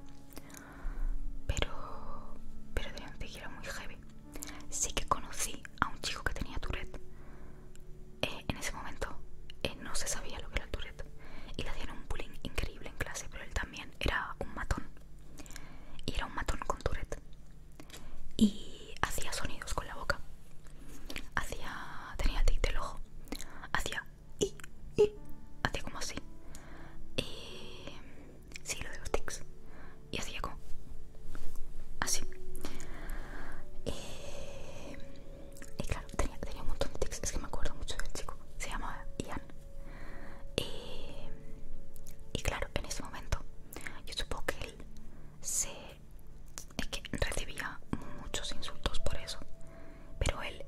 Pero... Pero de antes era muy heavy. Sí que conocí a un chico que tenía Tourette. Eh, en ese momento eh, no se sabía lo que era el Tourette. Y le hacían un bullying increíble en clase, pero él también era un matón. Y era un matón con Tourette y hacía sonidos con la boca. Hacía, tenía tics tic del ojo. Hacía y, y, hacía como así. Y, sí, lo de los tics. Y hacía como así. Eh, y, claro, tenía, tenía un montón de tics. Es que me acuerdo mucho del chico. Se llamaba Ian. Y, eh, y claro, en ese momento, yo supongo que él es que recibía muchos insultos por eso. Pero él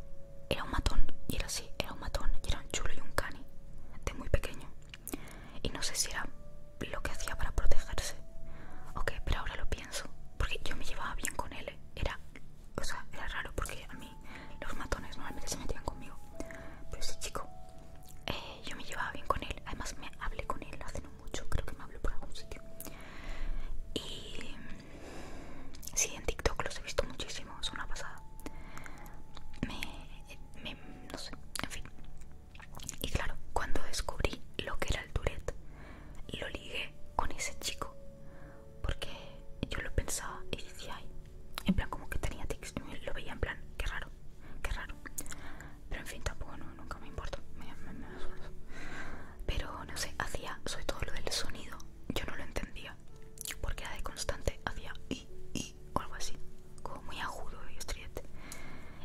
era un matón, y era así, era un matón, y era un chulo y un cani, de muy pequeño. Y no sé si era lo que hacía para protegerse. Ok, pero ahora lo pienso, porque yo me llevaba bien con él, era... era raro porque a mí los matones normalmente se metían conmigo. Pero ese chico eh, yo me llevaba bien con él, además me hablé con él hace no mucho, creo que me habló por algún sitio. Y sí, en TikTok los he visto muchísimo, es una pasada. Me, no sé, en fin. Y claro, cuando descubrí lo que era el Tourette, lo ligué con ese chico, porque yo lo pensaba y decía, ay, en plan como que tenía tics, lo veía en plan, que raro qué raro. Pero en fin, tampoco nunca me importa. Pero no sé, hacía sobre todo lo del sonido. Yo no lo entendía porque era de constante, hacía y i o algo así, como muy agudo y estridente.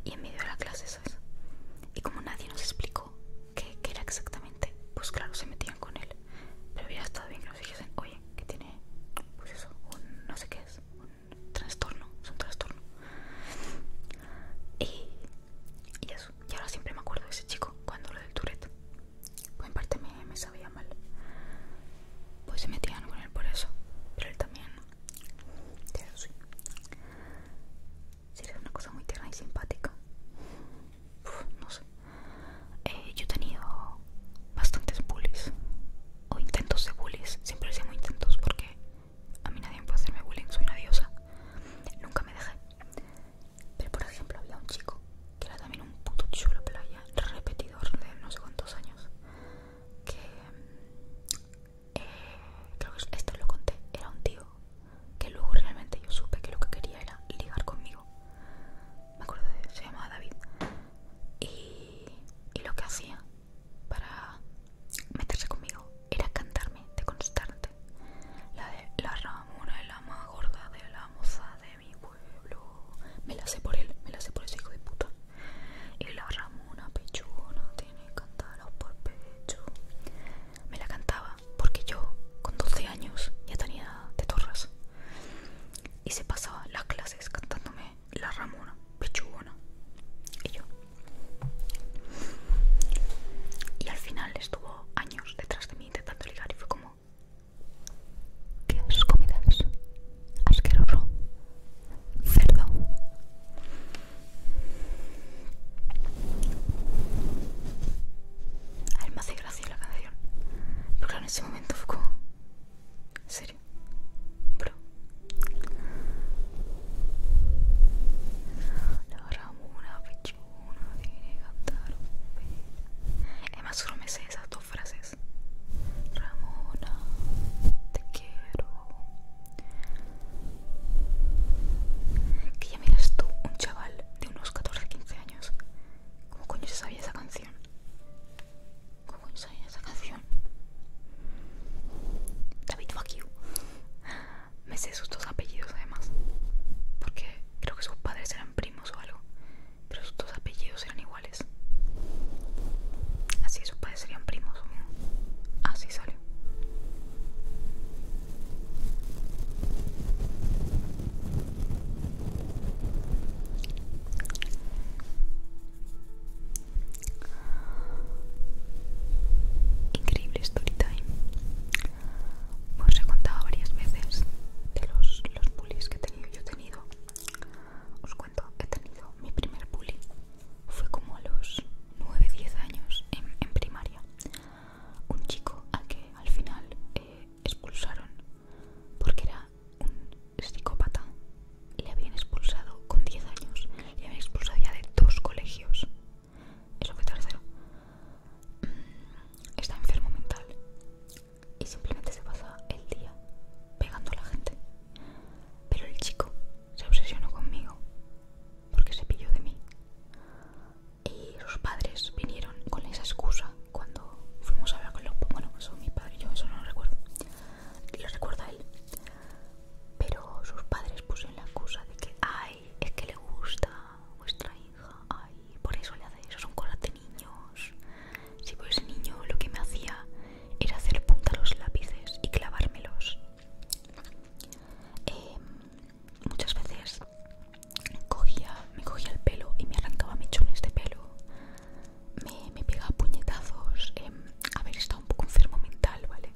Y en medio de la clase, esas. Y como nadie nos explicó qué, era exactamente, pues claro, se metían con él. Pero hubiera estado bien que nos dijesen, oye, que tiene, pues eso, un no sé qué es, trastorno, es un trastorno. Y, y eso, y ahora siempre me acuerdo de ese chico cuando lo del Tourette. Pues en parte me, sabía mal. Pues se metían con él por eso, pero él también. sí. era una cosa muy tierna y simpática. no sé. Eh, yo he tenido bastantes bullies o intentos de bullies. Siempre decíamos intentos porque a mí nadie puede hacerme bullying, soy una diosa. Nunca me dejé. Pero por ejemplo, había un chico que era también un puto chulo playa, repetidor de no sé cuántos años. Que. Eh, creo que esto lo conté. Era un tío que luego realmente yo supe que lo que quería era ligar conmigo. Me acuerdo de. Se llamaba David. y lo que hacía para meterse conmigo era cantarme de constante la de la Ramona es la más gorda de la moza de mi pueblo me la sé por él me la sé por ese hijo de puta y la Ramona pechuna tiene cantaros por pecho me la cantaba porque yo con 12 años ya tenía de torras y se pasaba las clases cantándome la Ramona, Pichuona y yo. Y al final estuvo años detrás de mí intentando ligar y fue como, ¿qué es comidas? Asqueroso, cerdo. A él me hace gracia la canción, pero claro, en ese momento fue como, Bro La Ramona pechuna de Gataro, cantar un solo me sé esas dos frases Ramona, te quiero Que ya miras tú, un chaval de unos 14-15 años ¿Cómo coño se sabía esa canción? ¿Cómo coño? esa canción. David Fuck Me sé sus dos apellidos además. Porque creo que sus padres eran primos o algo. Pero sus dos apellidos eran iguales. Así sus padres serían primos. Así salió. Increíble story time pues Os he contado varias veces de los, los bullies que he tenido. Yo he tenido, os cuento, he tenido mi primer bully. Fue como a los 9-10 años en, primaria. Un chico al que al final eh, expulsaron porque era un psicópata le habían expulsado con 10 años, le habían expulsado ya de dos colegios. Eso fue tercero. Mm, está enfermo mental y simplemente se pasa el día pegando a la gente. Pero el chico se obsesionó conmigo porque se pilló de mí. Y los padres vinieron con esa excusa cuando fuimos a hablar con los... Bueno, son mis padres, yo eso no lo recuerdo. Lo recuerda él. Pero sus padres pusieron la excusa de que, ay, es que le gusta vuestra hija, ay, por eso le hace eso, son cosas de niños. Si sí, niño lo que me hacía era hacer punta los lápices y clavármelos. Em, muchas veces cogía, me cogía el pelo y me arrancaba mechones de pelo, me, pegaba puñetazos, eh, em, haber estado un poco enfermo mental, ¿vale?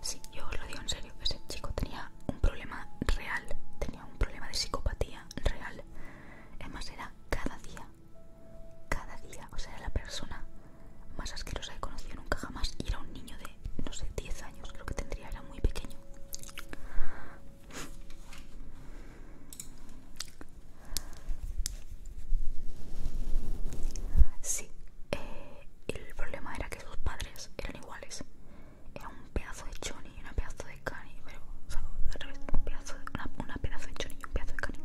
Sí, yo os lo digo en serio, ese chico tenía un problema real, tenía un problema de psicopatía real. Además era cada día, cada día, o sea, era la persona más asquerosa que he conocido nunca jamás y era un niño de, no sé, 10 años, creo que tendría, era muy pequeño. Sí, eh, el problema era que sus padres eran iguales. Era un pedazo de Johnny y un pedazo de Cani, pero, al un pedazo de, una, pedazo de Johnny y un pedazo de Cani.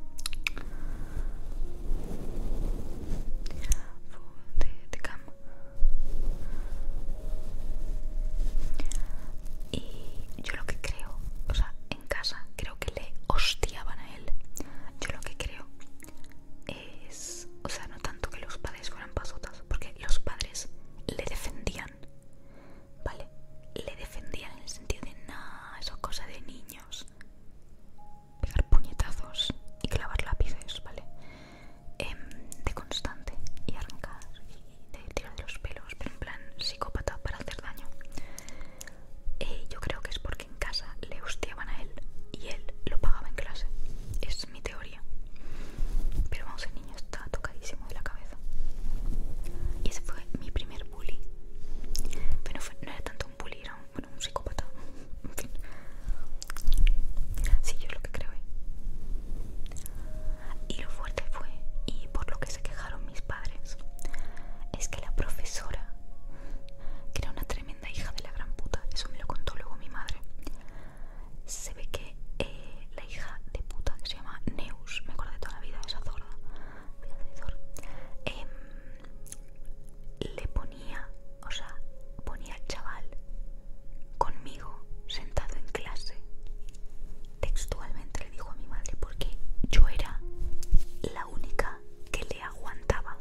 De, Y yo lo que creo, o sea, en casa creo que le hostiaban a él. Yo lo que creo es, o sea, no tanto que los padres fueran pasotas, porque los padres le defendían, ¿vale? Le defendían en el sentido de, nada eso es cosa de niños. Pegar puñetazos y clavar lápices, ¿vale? Em, de constante y arrancar y tirar los pelos, pero en plan psicópata para hacer daño. Eh, yo creo que es porque en casa le hostiaban a él y él lo pagaba en clase. Es mi teoría. Pero vamos, el niño está tocadísimo de la cabeza. Y ese fue mi primer bully. Pero no era tanto un bully, era un, psicópata. En fin. Sí, yo es lo que creo. ¿eh? Y lo fuerte fue, y por lo que se quejaron mis padres, es que la profesora que era una tremenda hija de la gran puta, eso me lo contó luego mi madre. Se ve que eh, la hija de puta, que se llama Neus, me acuerdo de toda la vida, esa zorda, em, le ponía, o sea, ponía al chaval conmigo sentado en clase. Textualmente le dijo a mi madre porque yo era la única que le aguantaba.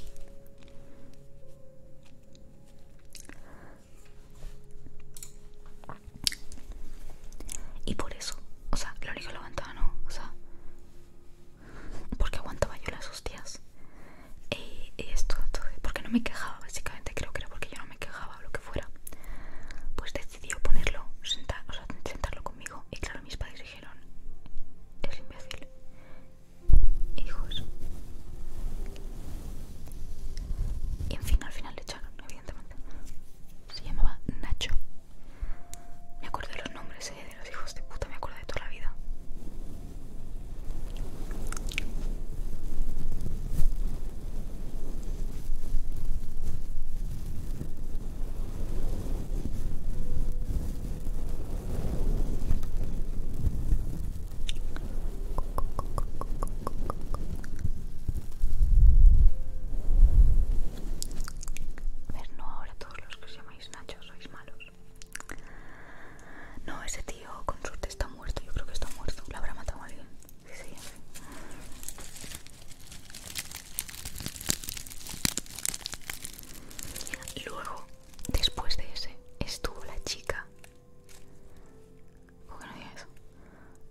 Y por eso, o sea, lo único que lo aguantaba no, o sea, porque aguantaba yo las hostias. Y, esto, porque no me quejaba, básicamente creo que era porque yo no me quejaba o lo que fuera. Pues decidió ponerlo, o sentarlo conmigo. Y claro, mis padres dijeron, es imbécil. Hijos. Y en fin, al final le echaron, evidentemente. Se llamaba Nacho. Me acuerdo de los nombres eh, de los hijos de puta, me acuerdo de toda la vida. Ver, no ahora todos los que os llamáis Nacho sois malos. No, ese tío con suerte está muerto, yo creo que está muerto, la habrá matado a alguien. Sí, sí, sí. Luego, después de ese, estuvo la chica.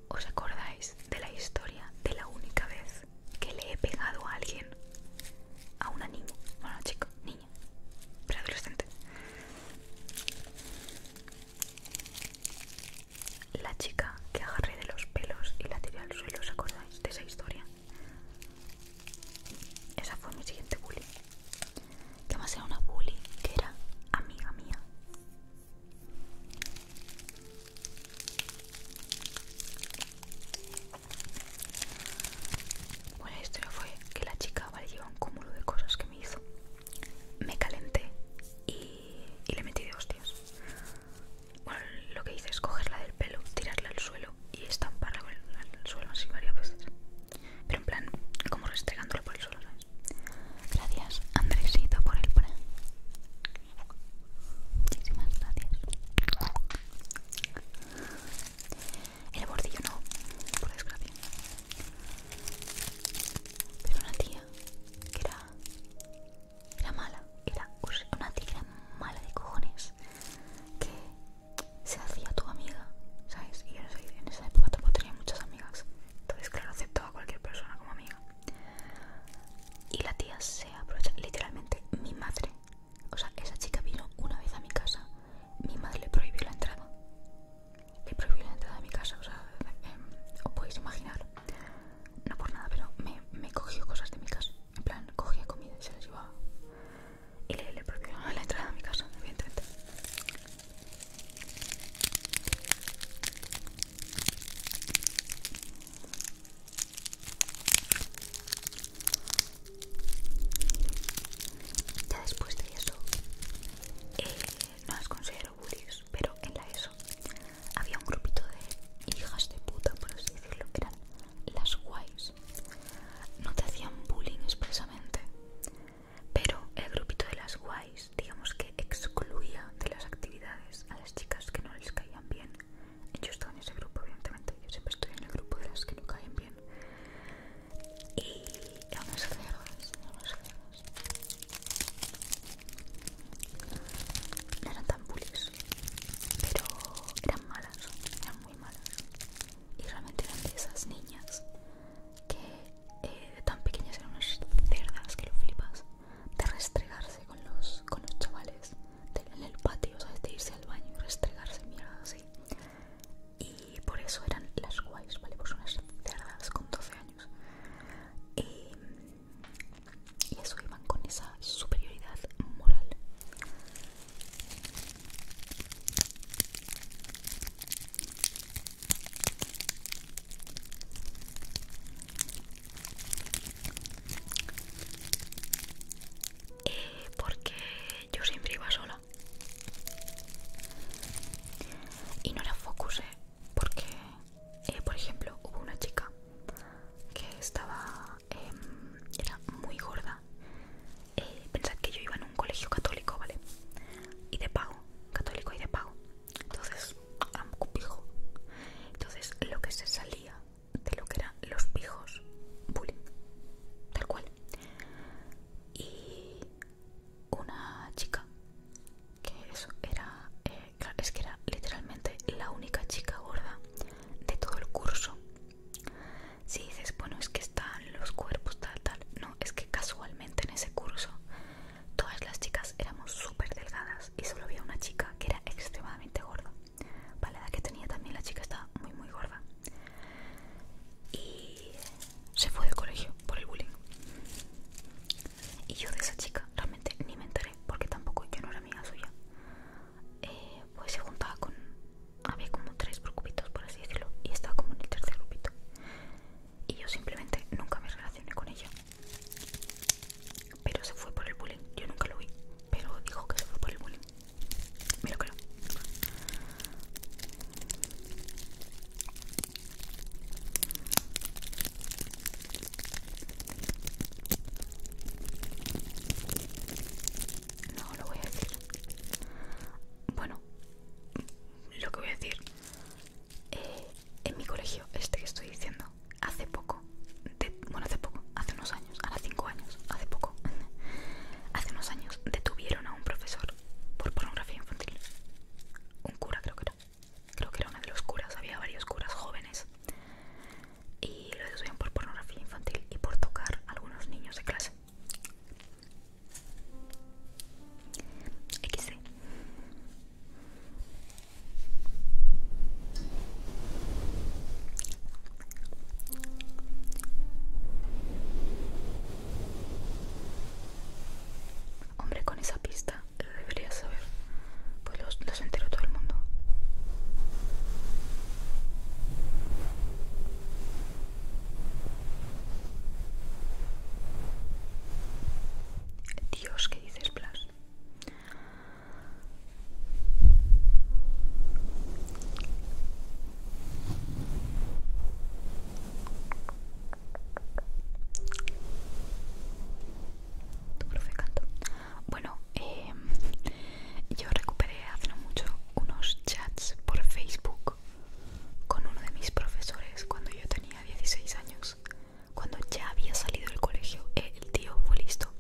¿Os acordáis de la historia de la única vez que le he pegado a alguien? A una niña. Bueno, chico, niña. Pero adolescente. La chica que agarré de los pelos y la tiré al suelo, ¿os acordáis de esa historia? Esa fue mi siguiente bully. Que más era una bully que era amiga mía. Bueno, pues la historia fue que la chica, vale, un cúmulo de cosas que me hizo. Me calenté y, y le metí de hostias bueno, lo que hice es cogerla del pelo, tirarla al suelo y estamparla con el, al suelo así varias veces. Pero en plan, como restregándola por el suelo, ¿sabes? Gracias, Andresito, por el plan. Muchísimas gracias. El bordillo no, por desgracia. Pero una tía que era, era mala, era una tía mala de cojones que se hacía tu amiga, ¿sabes? Y en esa época tampoco tenía muchas amigas, entonces claro, aceptaba a cualquier persona como amiga. Y la tía se aprovecha, literalmente mi madre, o sea, esa chica vino una vez a mi casa, mi madre le prohibió la entrada, le prohibió la entrada a mi casa, o sea, em, os podéis imaginar, no por nada, pero me cogió cosas de mi casa. En plan, cogía comida y se la llevaba. Y le, le a la entrada a mi casa, evidentemente. Ya después de eso, eh, no las considero bullies, pero en la ESO había un grupito de hijas de puta, por así decirlo, que eran las guays. No te hacían bullying expresamente, pero el grupito de las guays, digamos que excluía de las actividades a las chicas que no les caían bien. Yo estaba en ese grupo, evidentemente, yo siempre estoy en el grupo de las que no caen bien. Y a unas cerdas, a unas No eran tan bullies, pero eran malas, muy malas y realmente eran de esas niñas que eh, de tan pequeñas eran unas cerdas que lo flipas de restregarse con los, con los chavales de, en el patio, ¿sabes? de irse al baño y restregarse mierda así y por eso eran las guays, ¿vale? Pues unas cerdas con 12 años eh, y eso iban con esa superioridad moral eh, porque yo siempre iba sola y no la focusé porque eh, por ejemplo hubo una chica que estaba Em, era muy gorda. Eh, pensad que yo iba en un colegio católico, ¿vale? Y de pago, católico y de pago. Entonces, pijo. Entonces, lo que se salía de lo que eran los pijos, bullying, tal cual. Y una chica que eso era, eh, es que era literalmente la única chica gorda de todo el curso si dices, bueno, es que están los cuerpos tal, tal, no, es que casualmente en ese curso todas las chicas éramos súper delgadas y solo había una chica que era extremadamente gorda. vale la que tenía también la chica estaba muy, muy gorda. Y se fue del colegio por el bullying. Y yo de esa chica realmente ni me enteré porque tampoco yo no era amiga suya. Eh, pues se juntaba con había como tres grupitos por así decirlo y estaba como en el tercer grupito y yo simplemente nunca me relacioné con ella pero se fue por el bullying yo nunca lo vi pero dijo que se fue por el bullying me lo creo no lo voy a decir. Bueno, lo que voy a decir. Eh, en mi colegio, este que estoy diciendo, hace poco, bueno, hace poco, hace unos años, Hace cinco años, hace poco, hace unos años detuvieron a un profesor por pornografía infantil. Un cura creo que era. Creo que era uno de los curas, había varios curas jóvenes y lo deducían por pornografía infantil y por tocar a algunos niños de clase. XC Hombre, con esa pista debería saber, pues los, los entero todo el mundo. Dios, ¿qué dices, Blas? Tu profe canto. Bueno, eh, yo recuperé hace no mucho unos chats por Facebook con uno de mis profesores cuando yo tenía 16 años, cuando ya había salido del colegio. Eh, el tío fue listo.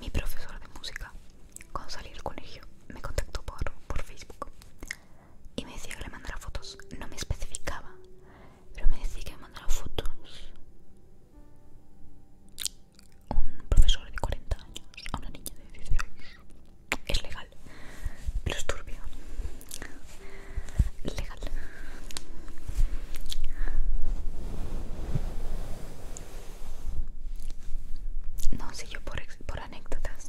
Mi profesor de música, cuando salí del colegio, me contactó por, por Facebook y me decía que le mandara fotos. No me especificaba, pero me decía que me mandara fotos un profesor de 40 años a una niña de 16. Es legal, pero es turbio. Legal. No, sé yo por, anécdotas.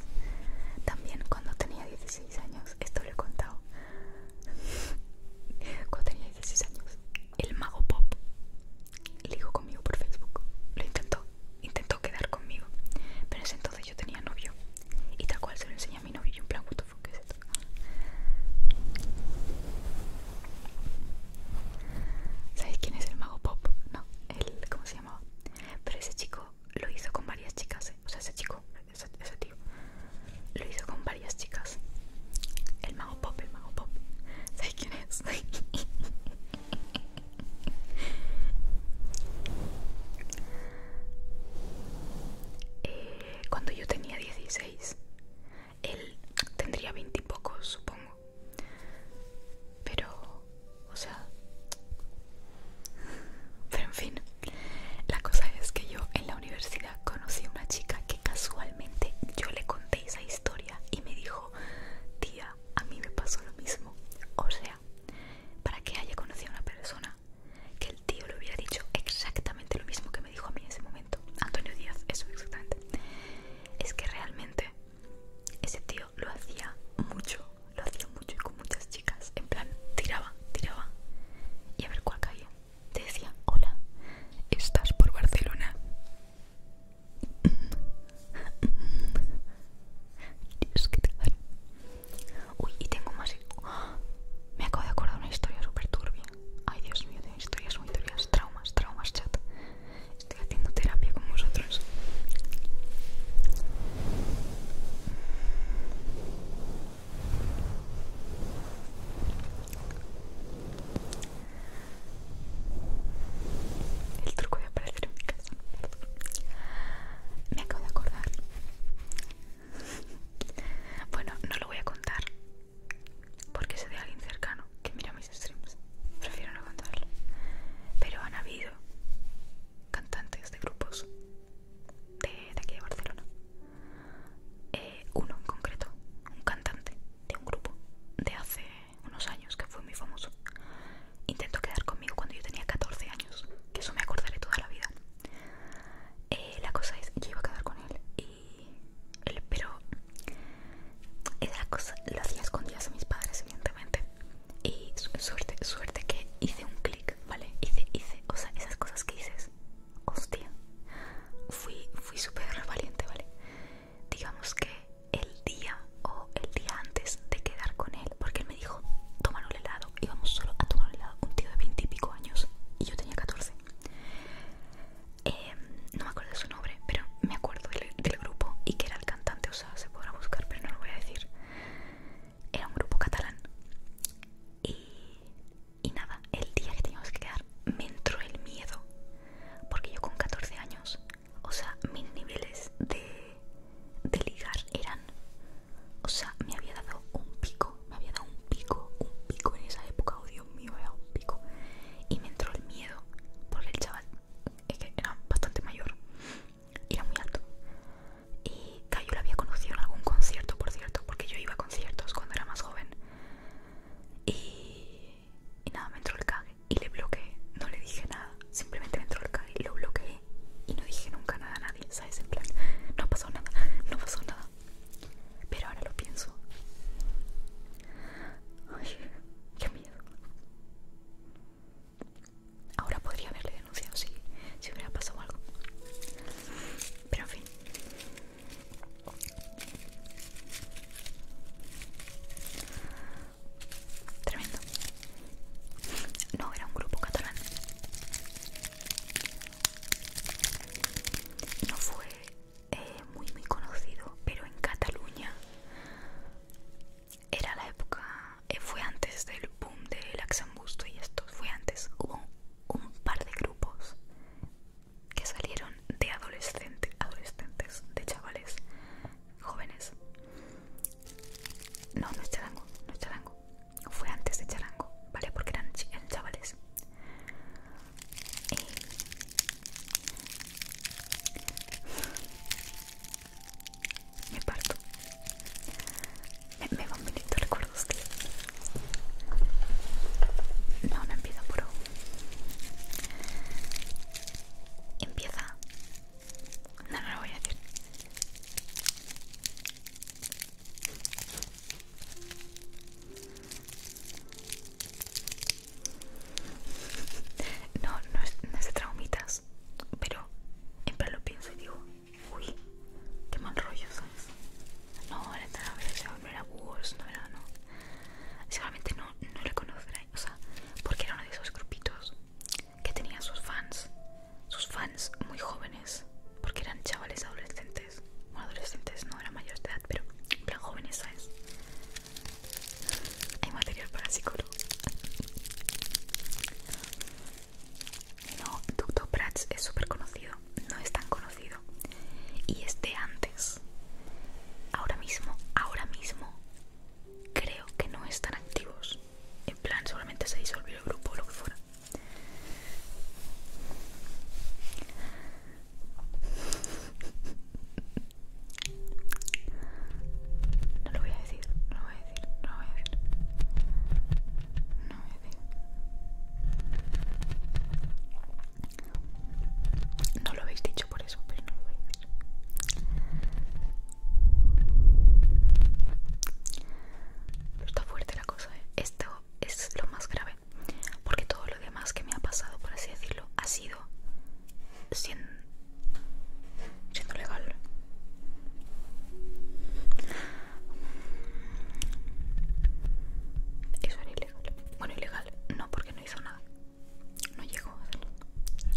También cuando tenía 16 años, esto lo he contado. Cuando tenía 16 años, el mago pop dijo conmigo por Facebook. Lo intentó intentó quedar conmigo Pero en ese entonces yo tenía novio Y tal cual se lo enseñé a mi novio Y un en plan, ¿qué es esto? ¿Sabéis quién es el mago pop? No, el, ¿cómo se llamaba? Pero ese chico lo hizo con varias chicas ¿eh? O sea, ese chico, ese tío Lo hizo con varias chicas El mago pop, el mago pop ¿Sabéis quién es? Eh, cuando yo tenía 16, él tendría 20 y pocos, supongo. Pero, o sea... Pero en fin, la cosa es que yo en la universidad conocí a una chica que casualmente yo le conté esa historia y me dijo, tía, a mí me pasó lo mismo. O sea, para que haya conocido a una persona que el tío le hubiera dicho exactamente lo mismo que me dijo a mí en ese momento. Antonio Díaz, eso exactamente. Es que realmente ese tío lo hacía mucho, lo hacía mucho y con muchas chicas. En plan, tiraba, tiraba. Y a ver cuál caía. Te decía, hola, ¿estás por Barcelona? Dios, qué Uy, y tengo más. Me acabo de acordar una historia súper turbia. Ay, Dios mío, tengo historias muy turbias. Traumas, traumas, chat. Estoy haciendo terapia con vosotros. El truco de aparecer en mi casa. Me acabo de acordar. Bueno, no lo voy a contar. Porque sé de alguien cercano que mira mis streams. Prefiero no contarlo. Pero han habido cantantes de grupos de, aquí de Barcelona. Eh, uno en concreto, un cantante de un grupo de hace unos años que fue muy famoso. Intento quedar conmigo cuando yo tenía 14 años, que eso me acordaré toda la vida. Eh, la cosa es, yo iba a quedar con él, y pero era cosa, lo hacía escondidas a mis padres, evidentemente. Y suerte, suerte que hice un clic, ¿vale? Hice, hice, o sea, esas cosas que dices, hostia. Fui, fui súper valiente, ¿vale? digamos que el día o el día antes de quedar con él, porque él me dijo, tómalo el helado, íbamos solo a tomar el helado, un tío de 20 y pico años, y yo tenía 14. Em, no me acuerdo de su nombre, pero me acuerdo del, grupo y que era el cantante, o sea, se podrá buscar, pero no lo voy a decir. Era un grupo catalán. Y, y nada, el día que teníamos que quedar me entró el miedo, porque yo con 14 años o sea, mis niveles de, ligar eran, o sea, me había dado un pico, me había dado un pico, un pico en esa época, oh Dios mío, era un pico, y me entró el miedo, porque el chaval que era bastante mayor, era muy alto, y Cayo lo había conocido en algún concierto, por cierto, porque yo iba a conciertos cuando era más joven, y, y nada, me entró el cague y le bloqueé, no le dije nada, simplemente me entró el CAD y lo bloqueé y no dije nunca nada a nadie, ¿sabes? En plan, no pasó nada, no pasó nada. Pero ahora lo pienso. Ay, qué miedo. Ahora podría haberle denunciado si, si hubiera pasado algo. Pero en fin. Tremendo. No, era un grupo catalán. No fue eh, muy, muy conocido, pero en Cataluña era la época, eh, fue antes del boom del Laxambusto y esto, fue antes. Hubo un par de grupos que salieron de adolescentes, adolescentes, de chavales jóvenes no, no es charango, no es charango. Fue antes de charango, ¿vale? Porque eran, chavales. Me parto. Me, me van recuerdo recuerdos, No, no empieza puro. Empieza no, no lo voy a decir. No, no es, de traumitas, pero en plan lo pienso y digo, uy, qué mal rollo, ¿sabes? No, no, no era Bulls, no era, no. Seguramente no, no le conocerá, o sea, porque era uno de esos grupitos que tenía sus fans, sus fans muy jóvenes, porque eran chavales adolescentes, bueno, adolescentes no era mayor de edad, pero en plan jóvenes, ¿sabes? Hay material para psicólogo. No, Doctor Prats es súper conocido, no es tan conocido. Y este antes. Ahora mismo, ahora mismo, creo que no están activos. En plan, seguramente se disolvió el grupo o lo que fuera. No lo voy a decir, no lo voy a decir, no lo voy a decir. No lo voy a decir. No lo habéis dicho por eso, pero no lo, voy, pero está fuerte la cosa, ¿eh? Esto es lo más grave. Porque todo lo demás que me ha pasado, por así decirlo, ha sido siendo, legal. Eso era ilegal. Bueno, ilegal no, porque no hizo nada. No llegó a